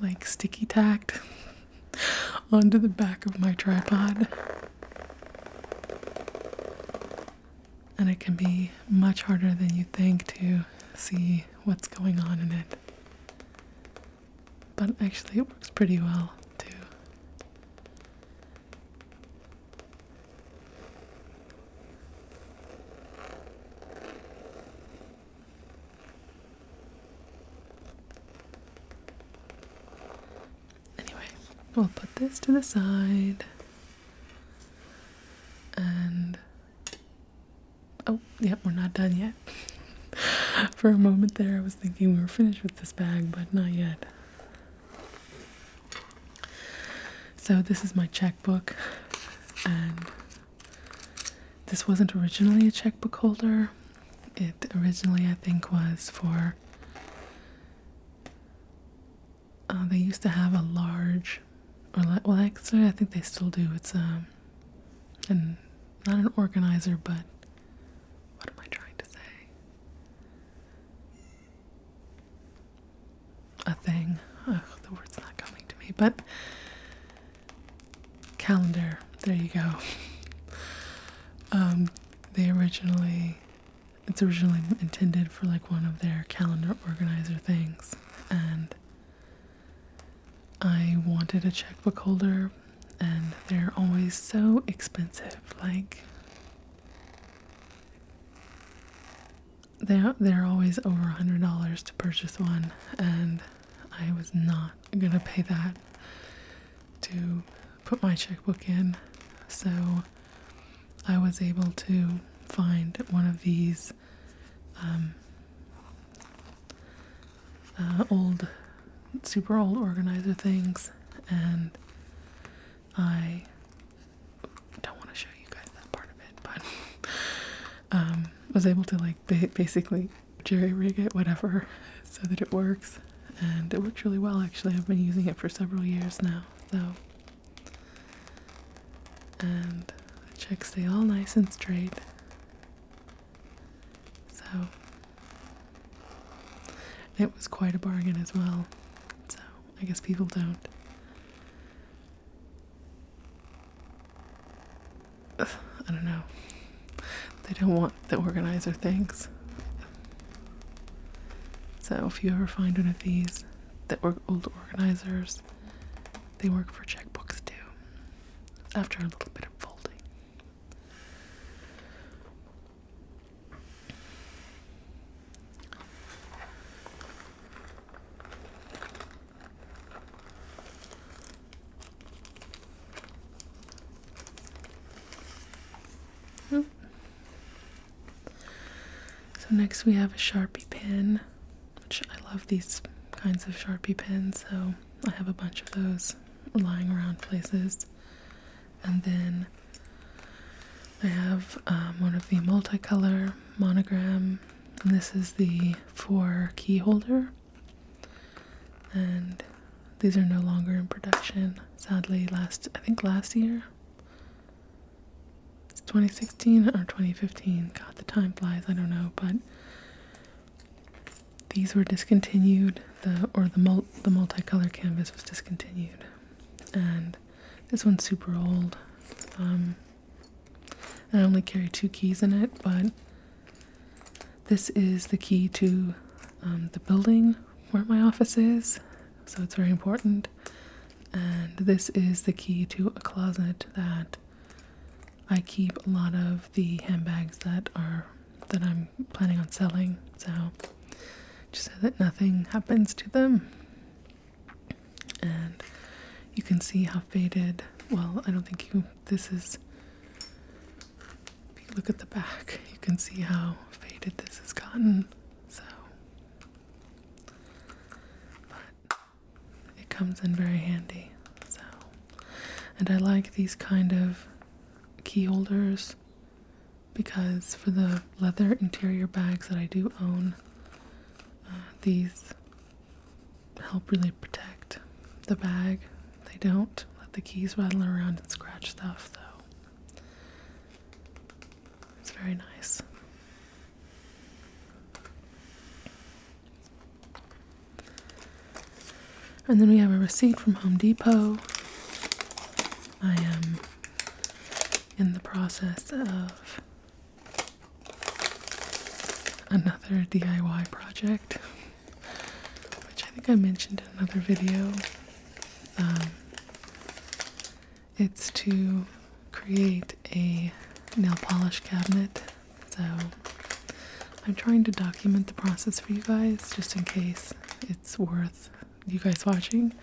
like sticky tacked onto the back of my tripod and it can be much harder than you think to see what's going on in it. But actually, it works pretty well too. Anyway, we'll put this to the side. And oh, yep, we're not done yet. For a moment there, I was thinking we were finished with this bag, but not yet. So, this is my checkbook, and this wasn't originally a checkbook holder. It originally, I think, was for uh, they used to have a large, or like, well, actually, I think they still do. It's um, and not an organizer, but what am I trying to say? A thing. the word's not coming to me, but calendar. There you go. um, they originally it's originally intended for like one of their calendar organizer things and I wanted a checkbook holder and they're always so expensive like they're, they're always over $100 to purchase one and I was not gonna pay that to put my checkbook in so I was able to find one of these um, uh, old, super old organizer things, and I don't want to show you guys that part of it, but um, was able to like basically jerry rig it, whatever, so that it works, and it works really well. Actually, I've been using it for several years now, so and the checks stay all nice and straight. So it was quite a bargain as well. So I guess people don't. I don't know. They don't want the organizer things. So if you ever find one of these that work old organizers, they work for checkbooks too. After a little bit of folding. Oh, so next we have a Sharpie pen, which I love these kinds of Sharpie pens, so I have a bunch of those lying around places. And then I have um, one of the multicolor monogram, and this is the four key holder. And these are no longer in production, sadly. Last, I think last year, 2016 or 2015. God, the time flies. I don't know, but these were discontinued. The or the mul the multicolor canvas was discontinued, and this one's super old. Um, I only carry two keys in it, but this is the key to um, the building where my office is, so it's very important. And this is the key to a closet that I keep a lot of the handbags that are that I'm planning on selling. So just so that nothing happens to them. And you can see how faded. Well, I don't think you this is if you look at the back, you can see how faded this has gotten. So but it comes in very handy. So, and I like these kind of key holders because for the leather interior bags that I do own, uh, these help really protect the bag. They don't let the keys rattle around and scratch stuff, though. It's very nice. And then we have a receipt from Home Depot. I am in the process of another DIY project, which I think I mentioned in another video. Um, it's to create a nail polish cabinet. So I'm trying to document the process for you guys just in case it's worth you guys watching.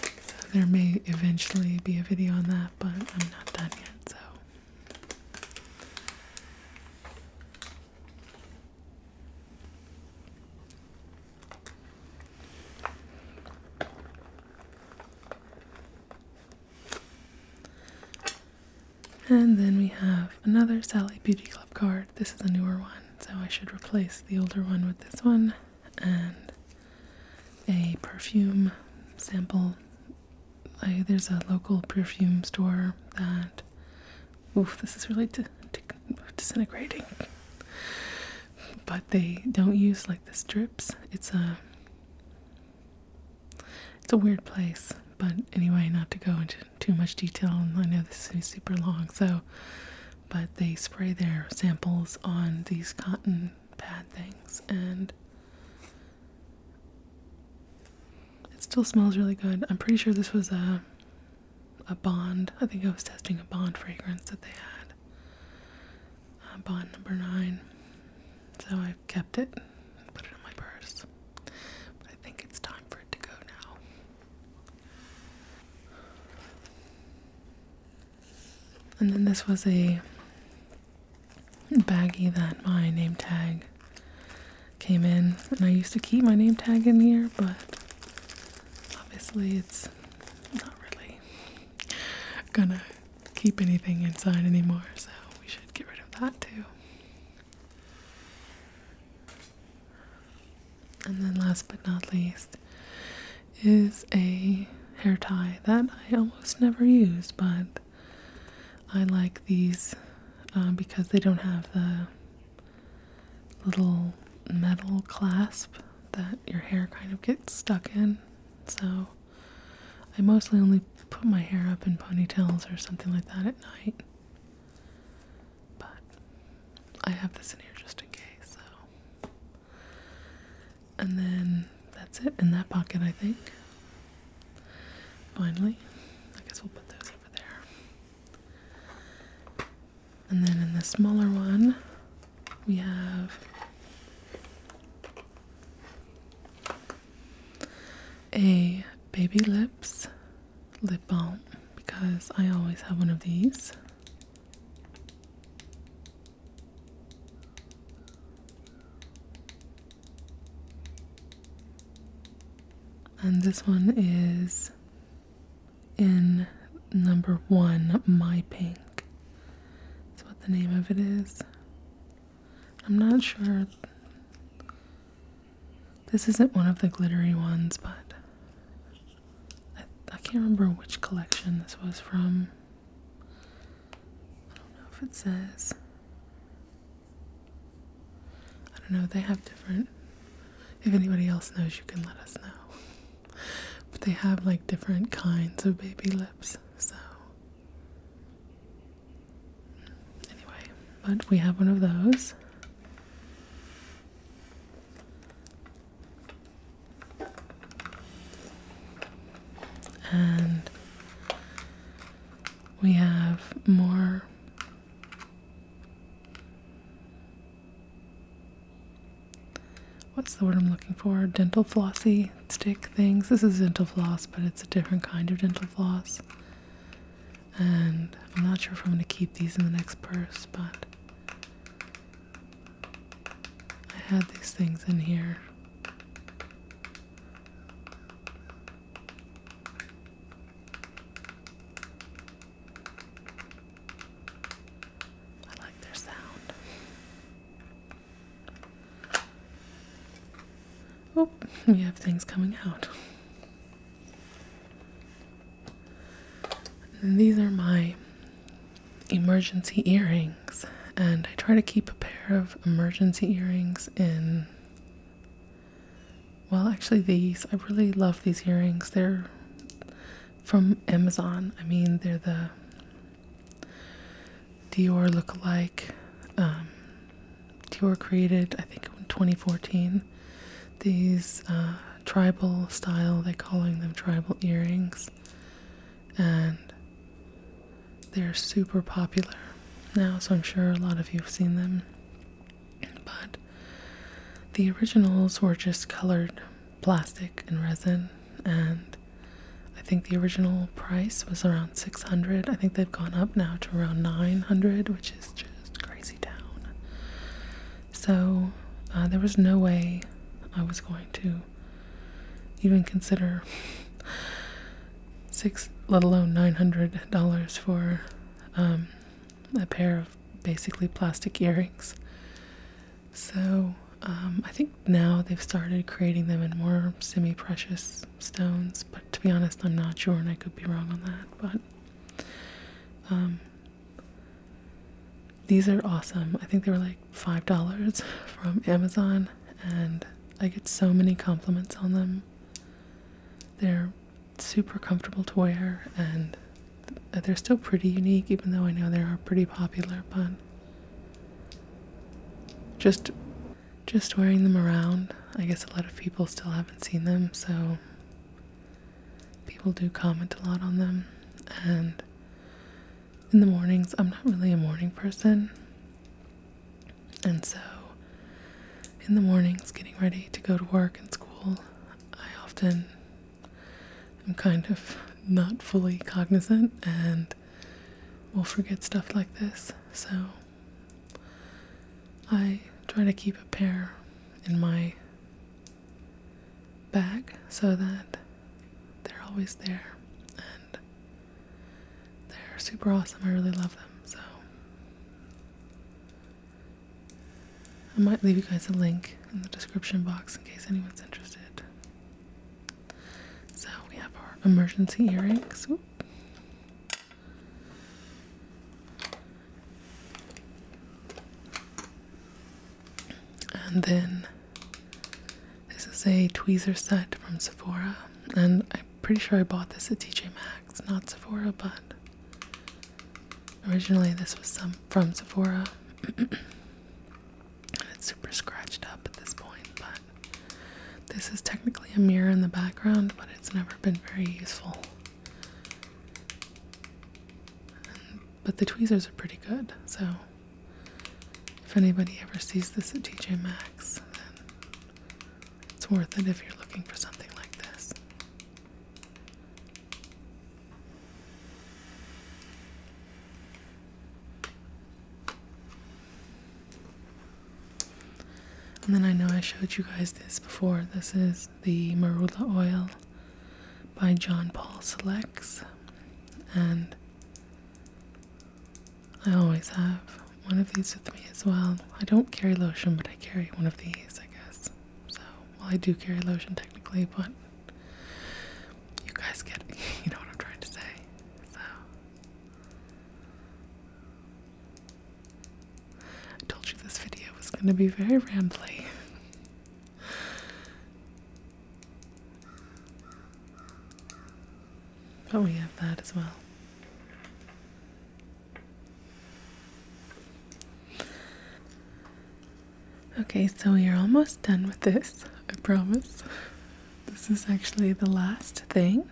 So there may eventually be a video on that, but I'm not done yet. So and then we have another Sally Beauty Club card. This is a newer one, so I should replace the older one with this one. And a perfume sample. there's a local perfume store that. Oof, this is really disintegrating but they don't use like the strips. It's a it's a weird place, but anyway, not to go into too much detail. And I know this is super long, so but they spray their samples on these cotton pad things, and it still smells really good. I'm pretty sure this was a a bond. I think I was testing a bond fragrance that they had had uh, bond number nine. So I've kept it, and put it in my purse. I think it's time for it to go now. And then this was a baggy that my name tag came in. And I used to keep my name tag in here, but obviously it's not really gonna keep anything inside anymore, so we should get rid of that too. And then, last but not least, is a hair tie that I almost never use, but I like these uh, because they don't have the little metal clasp that your hair kind of gets stuck in so I mostly only put my hair up in ponytails or something like that at night. But I have this in here just in case, so. And then that's it in that pocket, I think. Finally, I guess we'll put those over there. And then in the smaller one, we have a baby lips lip balm because I always have one of these. And this one is in number one, My Pink think that's what the name of it is. I'm not sure. This isn't one of the glittery ones, but I can't remember which collection this was from. I don't know if it says. I don't know, they have different. If anybody else knows, you can let us know. But they have like different kinds of baby lips, so. Anyway, but we have one of those. And we have more what's the word I'm looking for? Dental flossy stick things. This is dental floss, but it's a different kind of dental floss. And I'm not sure if I'm going to keep these in the next purse, but I had these things in here. I like their sound. Oh, we have things coming out. And these are my emergency earrings, and I try to keep a pair of emergency earrings in. Well, actually, these I really love these earrings. They're from Amazon. I mean, they're the Dior lookalike. Um, Dior created, I think, 2014, these uh, tribal style, they're calling them tribal earrings, and they're super popular now, so I'm sure a lot of you have seen them. But the originals were just colored plastic and resin and I think the original price was around 600. I think they've gone up now to around 900, which is just crazy down. So uh, there was no way I was going to even consider six, let alone $900 for um, a pair of basically plastic earrings. So um, I think now they've started creating them in more semi precious stones, but to be honest, I'm not sure and I could be wrong on that. But um, these are awesome. I think they were like $5 from Amazon, and I get so many compliments on them. They're super comfortable to wear and uh, they're still pretty unique, even though I know they are pretty popular, but just just wearing them around. I guess a lot of people still haven't seen them, so people do comment a lot on them. And in the mornings, I'm not really a morning person. And so in the mornings, getting ready to go to work and school, I often am kind of not fully cognizant and we will forget stuff like this. So I try to keep a pair in my bag so that they're always there and they're super awesome. I really love them. So I might leave you guys a link in the description box in case anyone's interested. So we have our emergency earrings. And then this is a tweezer set from Sephora. And I'm pretty sure I bought this at TJ Maxx, not Sephora, but originally this was some from Sephora. it's super scratched up at this point, but this is technically a mirror in the background, but it's never been very useful. but the tweezers are pretty good, so if anybody ever sees this at TJ Max, then it's worth it if you're looking for something like this. And then I know I showed you guys this before. This is the Marula oil by John Paul Selects. And I always have one of these with me as well. I don't carry lotion, but I carry one of these, I guess. So, well, I do carry lotion technically, but you guys get, you know what I'm trying to say. So, I told you this video was going to be very rambly. Oh, we have that as well. Okay, so we are almost done with this, I promise. This is actually the last thing.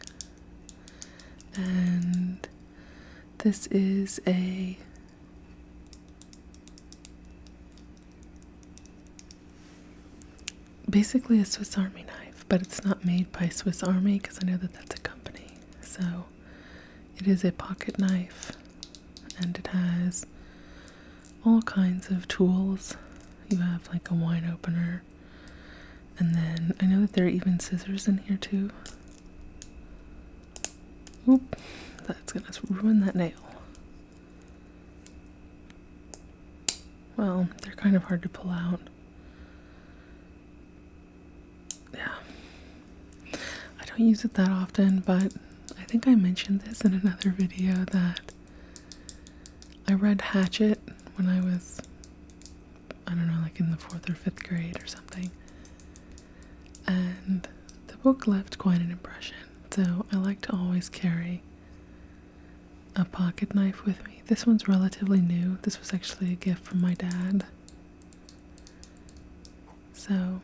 And this is a basically a Swiss Army knife, but it's not made by Swiss Army because I know that that's a company. So it is a pocket knife and it has all kinds of tools. You have like a wine opener, and then I know that there are even scissors in here too. Oop, that's gonna ruin that nail. Well, they're kind of hard to pull out. Yeah. I don't use it that often, but I think I mentioned this in another video that I read Hatchet when I was, I don't know, like in the fourth or fifth grade or something. And the book left quite an impression. So I like to always carry a pocket knife with me. This one's relatively new. This was actually a gift from my dad. So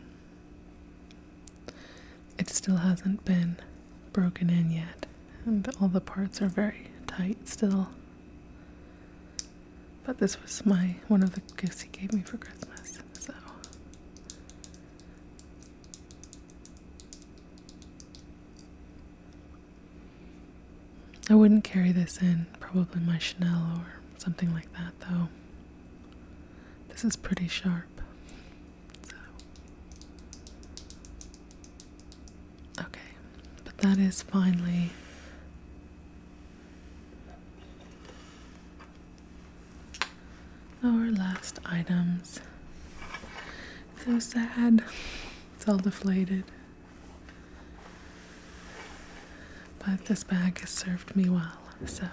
it still hasn't been broken in yet, and all the parts are very tight still. But this was my one of the gifts he gave me for Christmas, so I wouldn't carry this in probably my Chanel or something like that though. This is pretty sharp. Okay, but that is finally our last items. So sad. It's all deflated. But this bag has served me well, so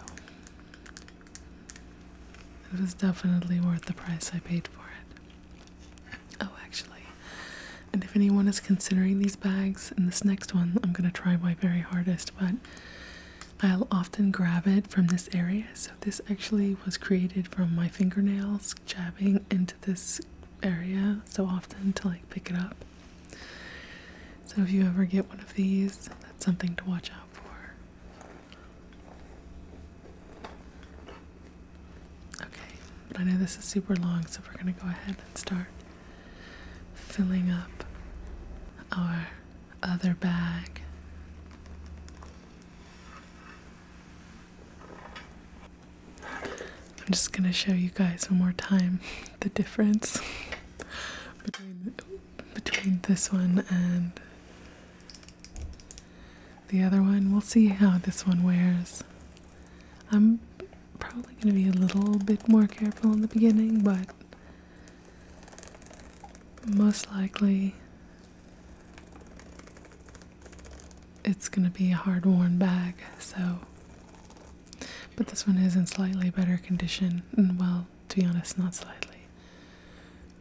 it was definitely worth the price I paid for it. Oh, actually. And if anyone is considering these bags, in this next one, I'm going to try my very hardest, but I'll often grab it from this area. So, this actually was created from my fingernails jabbing into this area so often to like pick it up. So, if you ever get one of these, that's something to watch out for. Okay, I know this is super long, so we're going to go ahead and start filling up our other bag. I'm just going to show you guys one more time the difference between, between this one and the other one. We'll see how this one wears. I'm probably going to be a little bit more careful in the beginning, but most likely it's going to be a hard worn bag. So, but this one is in slightly better condition. Well, to be honest, not slightly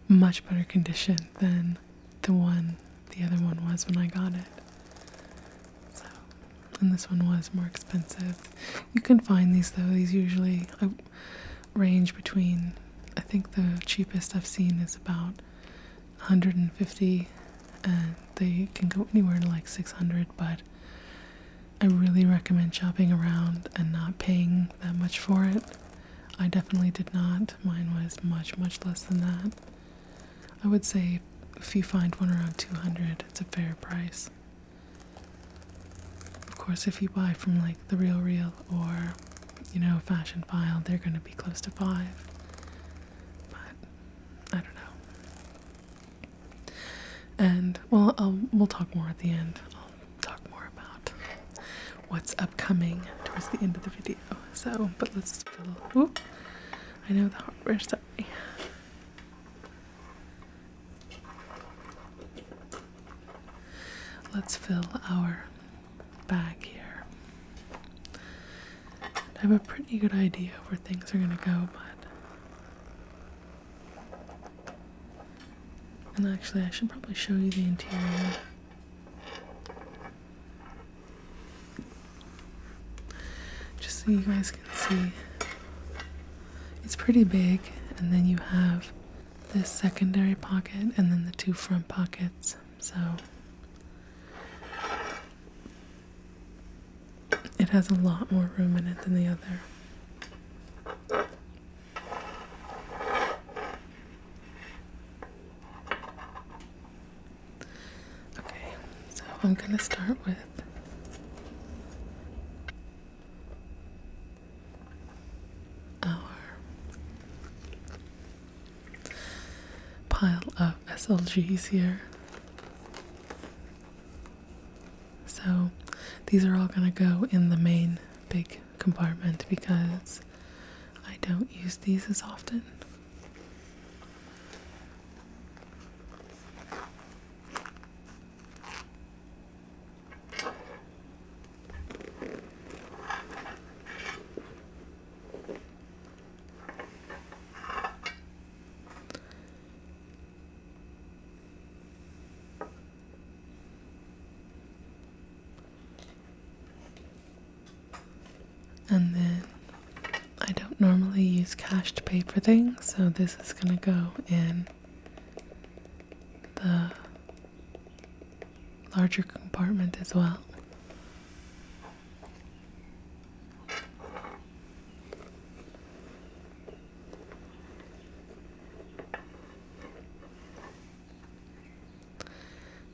much better condition than the one the other one was when I got it. So, and this one was more expensive. You can find these though. These usually uh, range between. I think the cheapest I've seen is about 150, and they can go anywhere to like 600. But I really recommend shopping around and not paying that much for it I definitely did not. Mine was much, much less than that. I would say if you find one around 200, it's a fair price. Of course, if you buy from like the Real Real or you know Fashion File, they're going to be close to five. But I don't know. And well, we'll talk more at the end. I'll talk more about what's upcoming towards the end of the video. So, but let's fill. Whoop, I know the hardware. Sorry. Let's fill our bag here. I have a pretty good idea where things are gonna go, but. And actually, I should probably show you the interior. Just so you guys can see, it's pretty big, and then you have this secondary pocket and then the two front pockets. So it has a lot more room in it than the other. Okay, so I'm going to start with our pile of SLGs here. So these are all going to go in the main big compartment because I don't use these as often. And then I don't normally use cash to pay for things, so this is going to go in the larger compartment as well.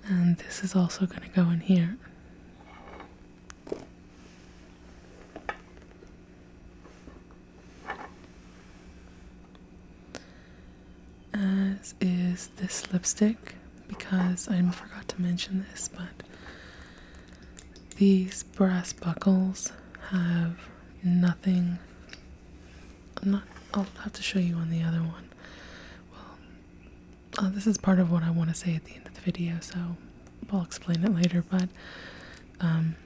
And this is also going to go in here. As is this lipstick, because I forgot to mention this, but these brass buckles have nothing. i not, I'll have to show you on the other one. Well, Oh, this is part of what I want to say at the end of the video, so I'll explain it later. But um,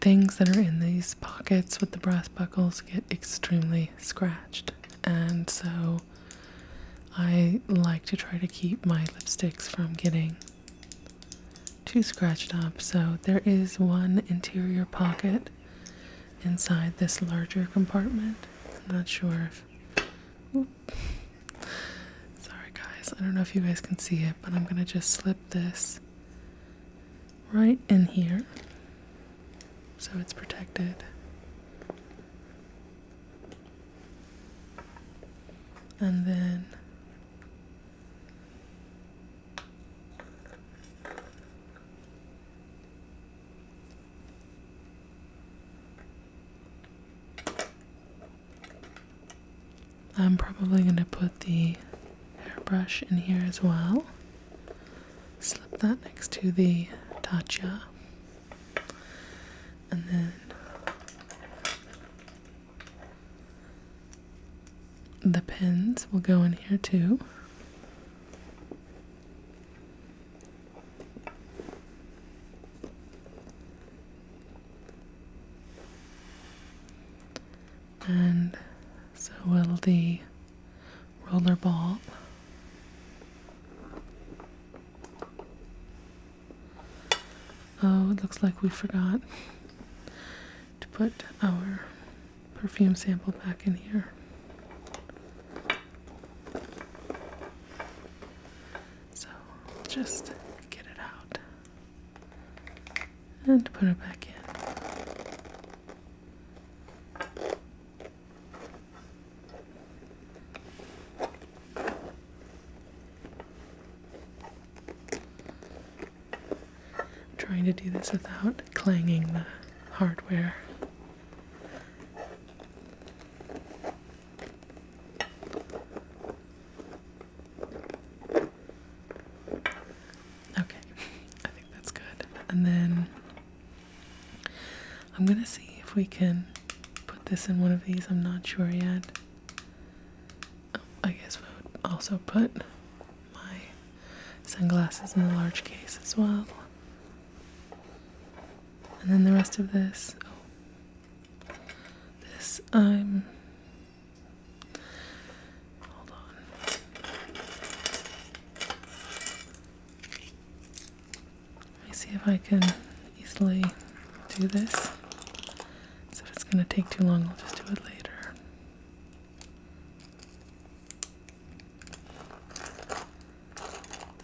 things that are in these pockets with the brass buckles get extremely scratched, and so I like to try to keep my lipsticks from getting too scratched up. So there is one interior pocket inside this larger compartment. I'm not sure Sorry, guys. I don't know if you guys can see it, but I'm going to just slip this right in here so it's protected. And then I'm probably going to put the hairbrush in here as well. Slip that next to the tatcha. And then the pins will go in here too. And so will the roller ball. Oh, it looks like we forgot to put our perfume sample back in here. So just get it out and put it back in. trying to do this without clanging the hardware Okay, I think that's good. And then I'm gonna see if we can put this in one of these. I'm not sure yet. Oh, I guess we would also put my sunglasses in the large case as well. And then the rest of this. This, I'm. Um, hold on. Let me see if I can easily do this. So if it's going to take too long, I'll just do it later.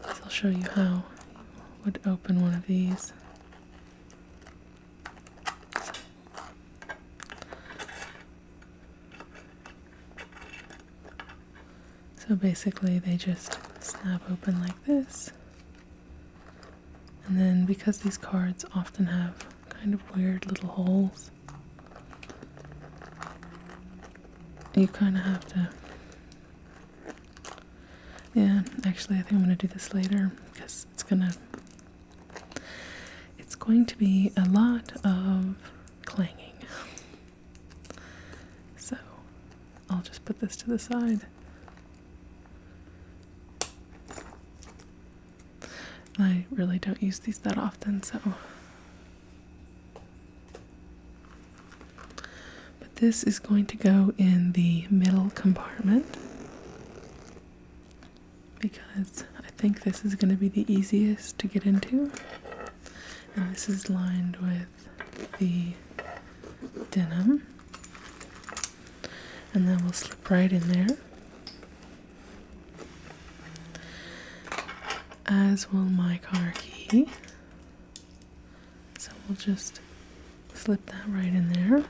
I'll show you how I would open one of these. So basically they just snap open like this. And then because these cards often have kind of weird little holes, you kind of have to. Yeah, actually, I think I'm gonna do this later because it's gonna. It's going to be a lot of clanging. So, I'll just put this to the side. I really don't use these that often, so but this is going to go in the middle compartment because I think this is going to be the easiest to get into. And this is lined with the denim. And then we'll slip right in there as will my car key. So we'll just slip that right in there.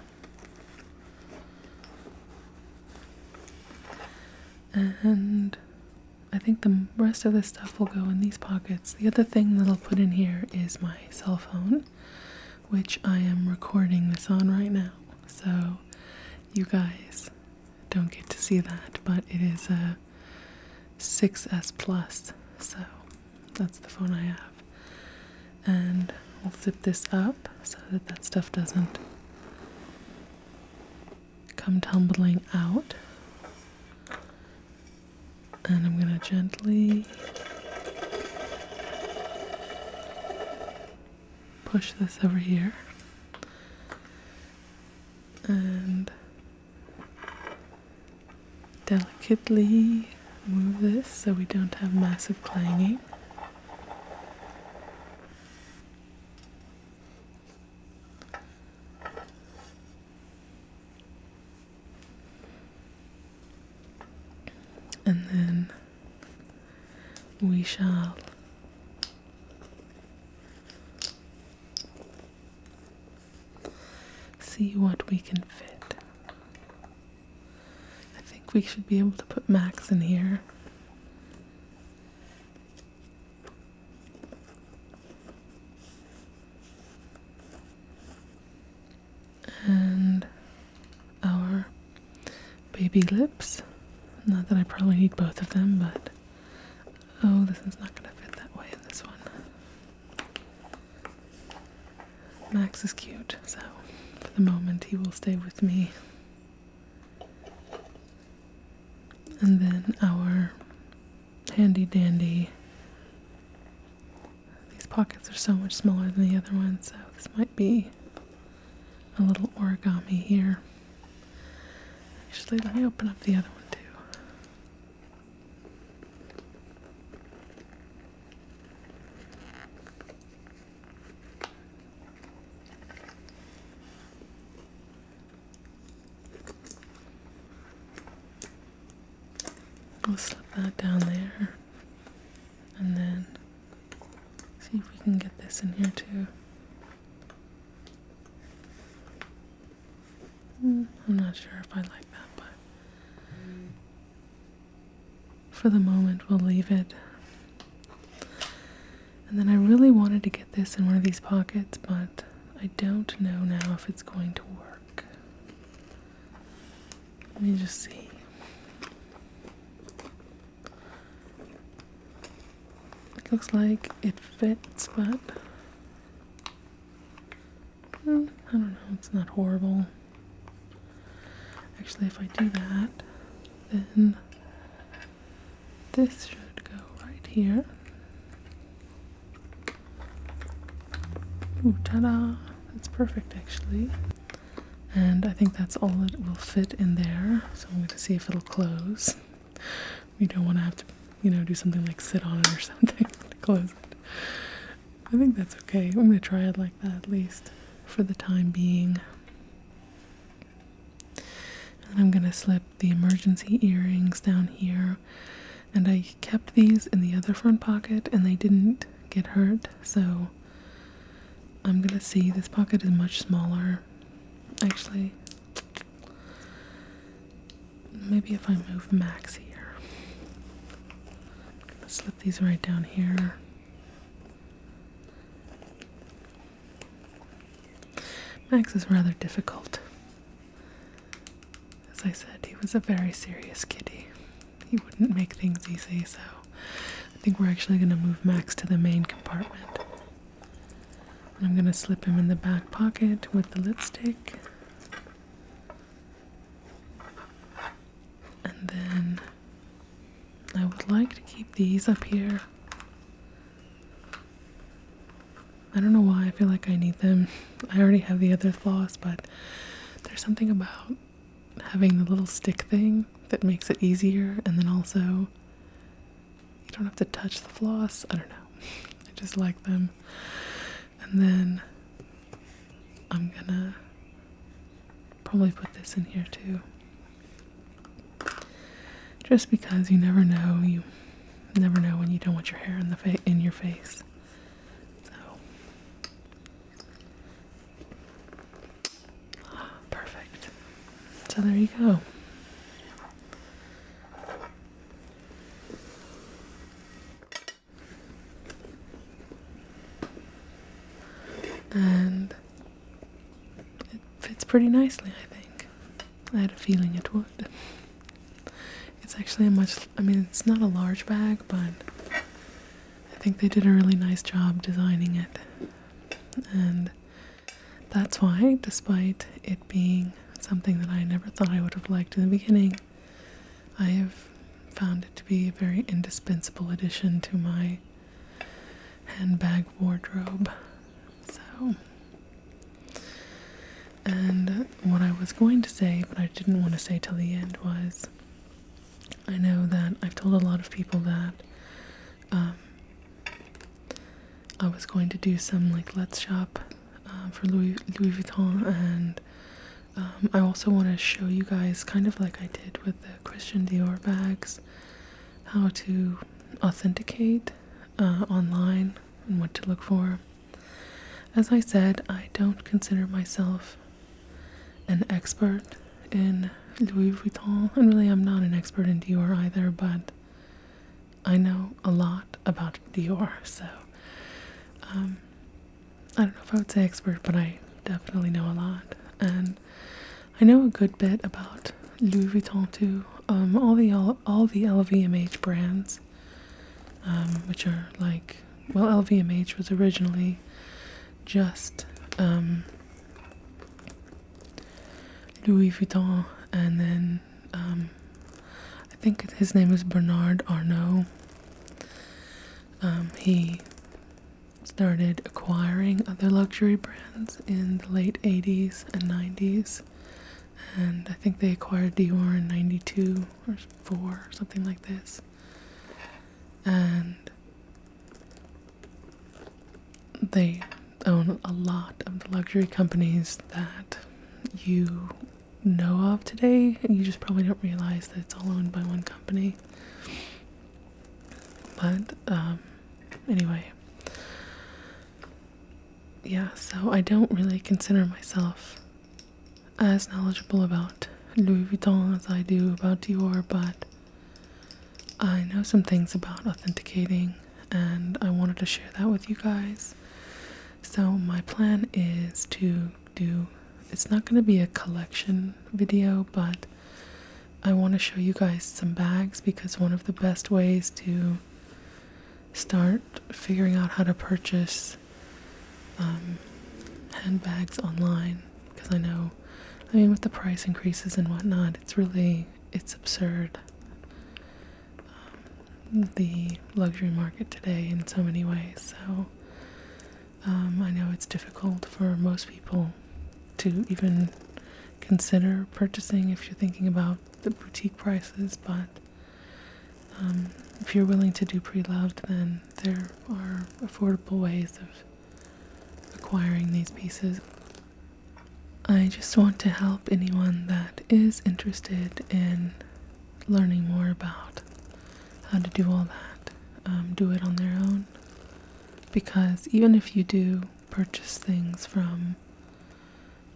And I think the rest of the stuff will go in these pockets. The other thing that I'll put in here is my cell phone, which I am recording this on right now. So you guys don't get to see that, but it is a 6S Plus, so that's the phone I have. And we'll zip this up so that that stuff doesn't come tumbling out. And I'm going to gently push this over here. And delicately move this so we don't have massive clanging. And then we shall see what we can fit. I think we should be able to put Max in here. And our baby lips. Not that I probably need both of them, but Oh, this is not going to fit that way in this one. Max is cute, so for the moment he will stay with me. And then our handy dandy. These pockets are so much smaller than the other one, so this might be a little origami here. Actually, let me open up the other one too i will slip that down there and then see if we can get this in here too. Mm, I'm not sure if I like that, but for the moment, we'll leave it. And then I really wanted to get this in one of these pockets, but I don't know now if it's going to work. Let me just see. It looks like it fits, but I don't know, it's not horrible. Actually, if I do that, then this should go right here. ta-da! That's perfect, actually. And I think that's all that will fit in there. So I'm going to see if it'll close you don't want to have to, you know, do something like sit on it or something to close it. I think that's okay. I'm going to try it like that at least for the time being. I'm going to slip the emergency earrings down here. And I kept these in the other front pocket and they didn't get hurt, so I'm going to see. This pocket is much smaller. Actually, Maybe if I move Max here. I'm slip these right down here. Max is rather difficult. As I said, he was a very serious kitty. He wouldn't make things easy, so I think we're actually going to move Max to the main compartment. I'm going to slip him in the back pocket with the lipstick. And then I would like to keep these up here. I don't know why I feel like I need them. I already have the other floss, but there's something about having the little stick thing that makes it easier, and then also you don't have to touch the floss. I don't know. I just like them. And then I'm gonna probably put this in here too. Just because you never know, you never know when you don't want your hair in the in your face. So perfect. So there you go. And it fits pretty nicely, I think. I had a feeling it would. It's actually a much, I mean, it's not a large bag, but I think they did a really nice job designing it. And that's why, despite it being something that I never thought I would have liked in the beginning, I have found it to be a very indispensable addition to my handbag wardrobe. So, and what I was going to say, but I didn't want to say till the end, was I know that I've told a lot of people that. Um, I was going to do some like let's shop uh, for Louis, Vuitton, and um, I also want to show you guys, kind of like I did with the Christian Dior bags, how to authenticate uh, online and what to look for. As I said, I don't consider myself an expert in Louis Vuitton, and really I'm not an expert in Dior either, but I know a lot about Dior, so um, I don't know if I would say expert, but I definitely know a lot. And I know a good bit about Louis Vuitton too, um, all the all, all the LVMH brands, um, which are like well, LVMH was originally just Louis Vuitton, and then um, I think his name is Bernard Arnault. Um, he started acquiring other luxury brands in the late 80s and 90s, and I think they acquired Dior in 92 or 4 or something like this. And they own a lot of the luxury companies that you know of today, you just probably don't realize that it's all owned by one company. But um, anyway, yeah, so I don't really consider myself as knowledgeable about Louis Vuitton as I do about Dior, but I know some things about authenticating, and I wanted to share that with you guys. So, my plan is to do it's not going to be a collection video, but I want to show you guys some bags because one of the best ways to start figuring out how to purchase um, handbags online because I know, I mean, with the price increases and whatnot, it's really it's absurd um, the luxury market today in so many ways. So um, I know it's difficult for most people to even consider purchasing if you're thinking about the boutique prices, but um, if you're willing to do pre-loved, then there are affordable ways of acquiring these pieces. I just want to help anyone that is interested in learning more about how to do all that, um, do it on their own. Because even if you do purchase things from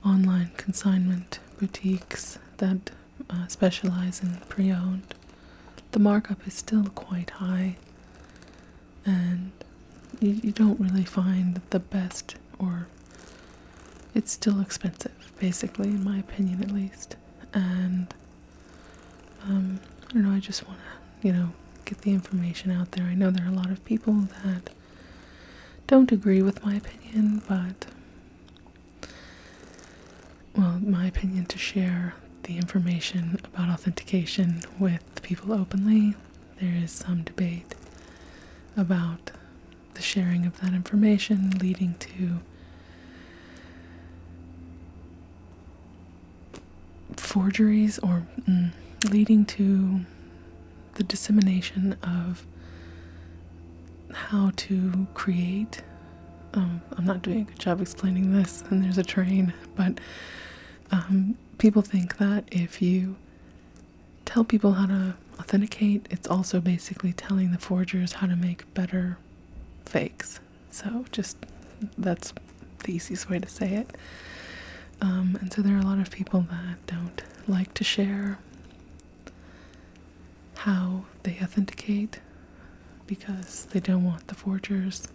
online consignment boutiques that uh, specialize in pre owned, the markup is still quite high, and you don't really find the best or it's still expensive, basically, in my opinion at least. And um, I don't know, I just want to, you know, get the information out there. I know there are a lot of people that don't agree with my opinion, but, well, my opinion to share the information about authentication with people openly. There is some debate about the sharing of that information leading to forgeries or mm, leading to the dissemination of how to create. Um, I'm not doing a good job explaining this, and there's a train, but um, people think that if you tell people how to authenticate, it's also basically telling the forgers how to make better fakes. So, just that's the easiest way to say it. Um, and so, there are a lot of people that don't like to share how they authenticate because they don't want the forgers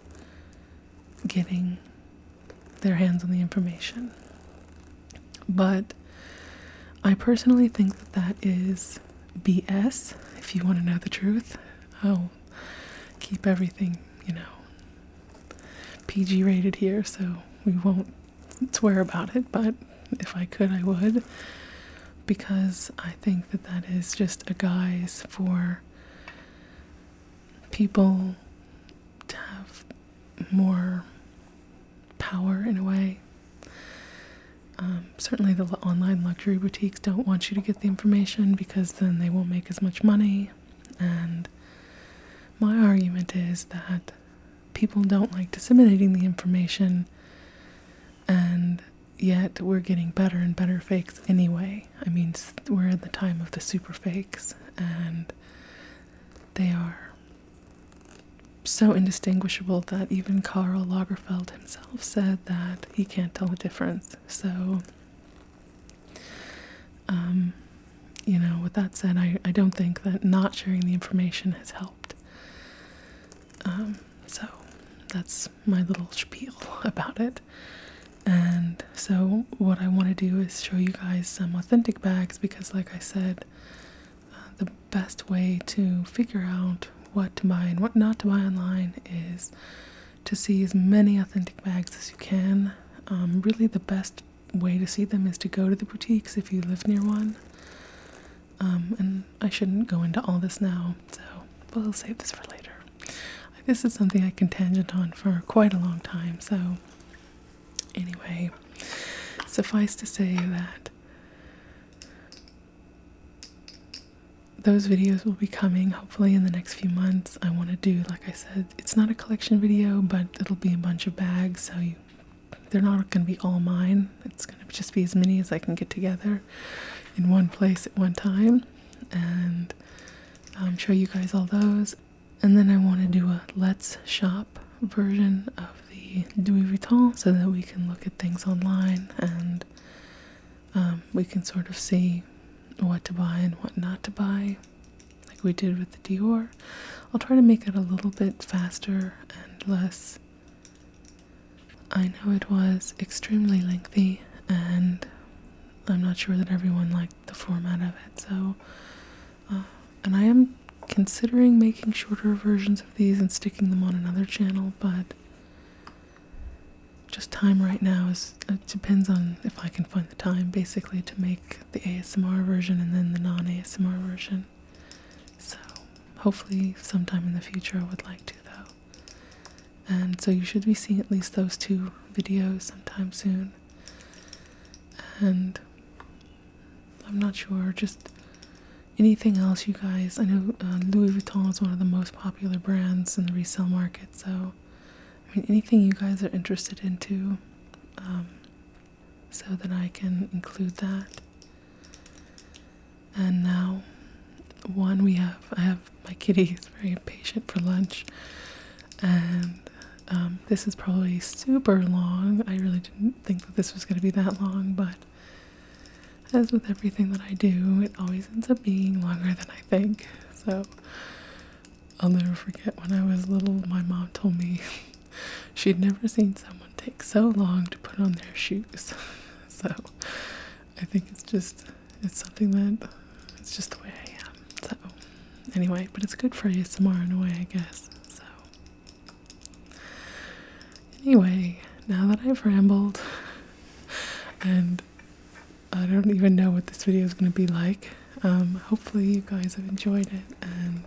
getting their hands on the information. But I personally think that that is BS, if you want to know the truth. I'll oh, keep everything, you know, PG rated here, so we won't swear about it, but if I could, I would. Because I think that that is just a guise for people to have more power in a way. Um, certainly, the online luxury boutiques don't want you to get the information because then they won't make as much money. And my argument is that people don't like disseminating the information, and yet we're getting better and better fakes anyway. I mean, we're at the time of the super fakes, and they are so indistinguishable that even Carl Lagerfeld himself said that he can't tell the difference. So, um, you know, with that said, I, I don't think that not sharing the information has helped. Um, so, that's my little spiel about it. And so, what I want to do is show you guys some authentic bags because, like I said, uh, the best way to figure out what to buy and what not to buy online is to see as many authentic bags as you can. Um, really, the best way to see them is to go to the boutiques if you live near one. Um, and I shouldn't go into all this now, so we'll save this for later. This is something I can tangent on for quite a long time, so anyway, suffice to say that those videos will be coming hopefully in the next few months. I want to do, like I said, it's not a collection video, but it'll be a bunch of bags, so they're not going to be all mine. It's going to just be as many as I can get together in one place at one time, and show you guys all those. And then I want to do a Let's Shop version of the Louis Vuitton so that we can look at things online and um, we can sort of see what to buy and what not to buy, like we did with the Dior. I'll try to make it a little bit faster and less. I know it was extremely lengthy, and I'm not sure that everyone liked the format of it, so. Uh, and I am considering making shorter versions these and sticking them on another channel, but just time right now is it uh, depends on if I can find the time basically to make the ASMR version and then the non-ASMR version. So hopefully sometime in the future I would like to though. And so you should be seeing at least those two videos sometime soon. And I'm not sure, just anything else you guys i know uh, louis vuitton is one of the most popular brands in the resale market so i mean anything you guys are interested into um, so that i can include that and now one we have i have my kitty is very impatient for lunch and um, this is probably super long i really didn't think that this was going to be that long but as with everything that I do, it always ends up being longer than I think. So I'll never forget when I was little, my mom told me she'd never seen someone take so long to put on their shoes. so I think it's just, it's something that, it's just the way I am. So anyway, but it's good for you ASMR in a way, I guess. So Anyway, now that I've rambled and I don't even know what this video is going to be like, um, hopefully you guys have enjoyed it and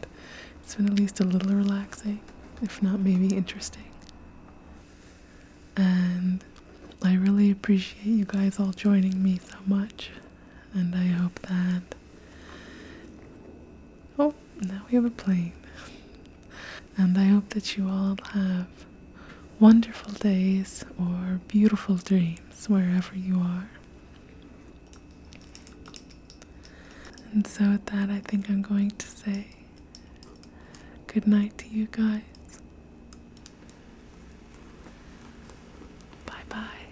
it's been at least a little relaxing, if not maybe interesting. And I really appreciate you guys all joining me so much, and I hope that. Oh, now we have a plane. And I hope that you all have wonderful days or beautiful dreams wherever you are. And so, with that, I think I'm going to say good night to you guys. Bye bye.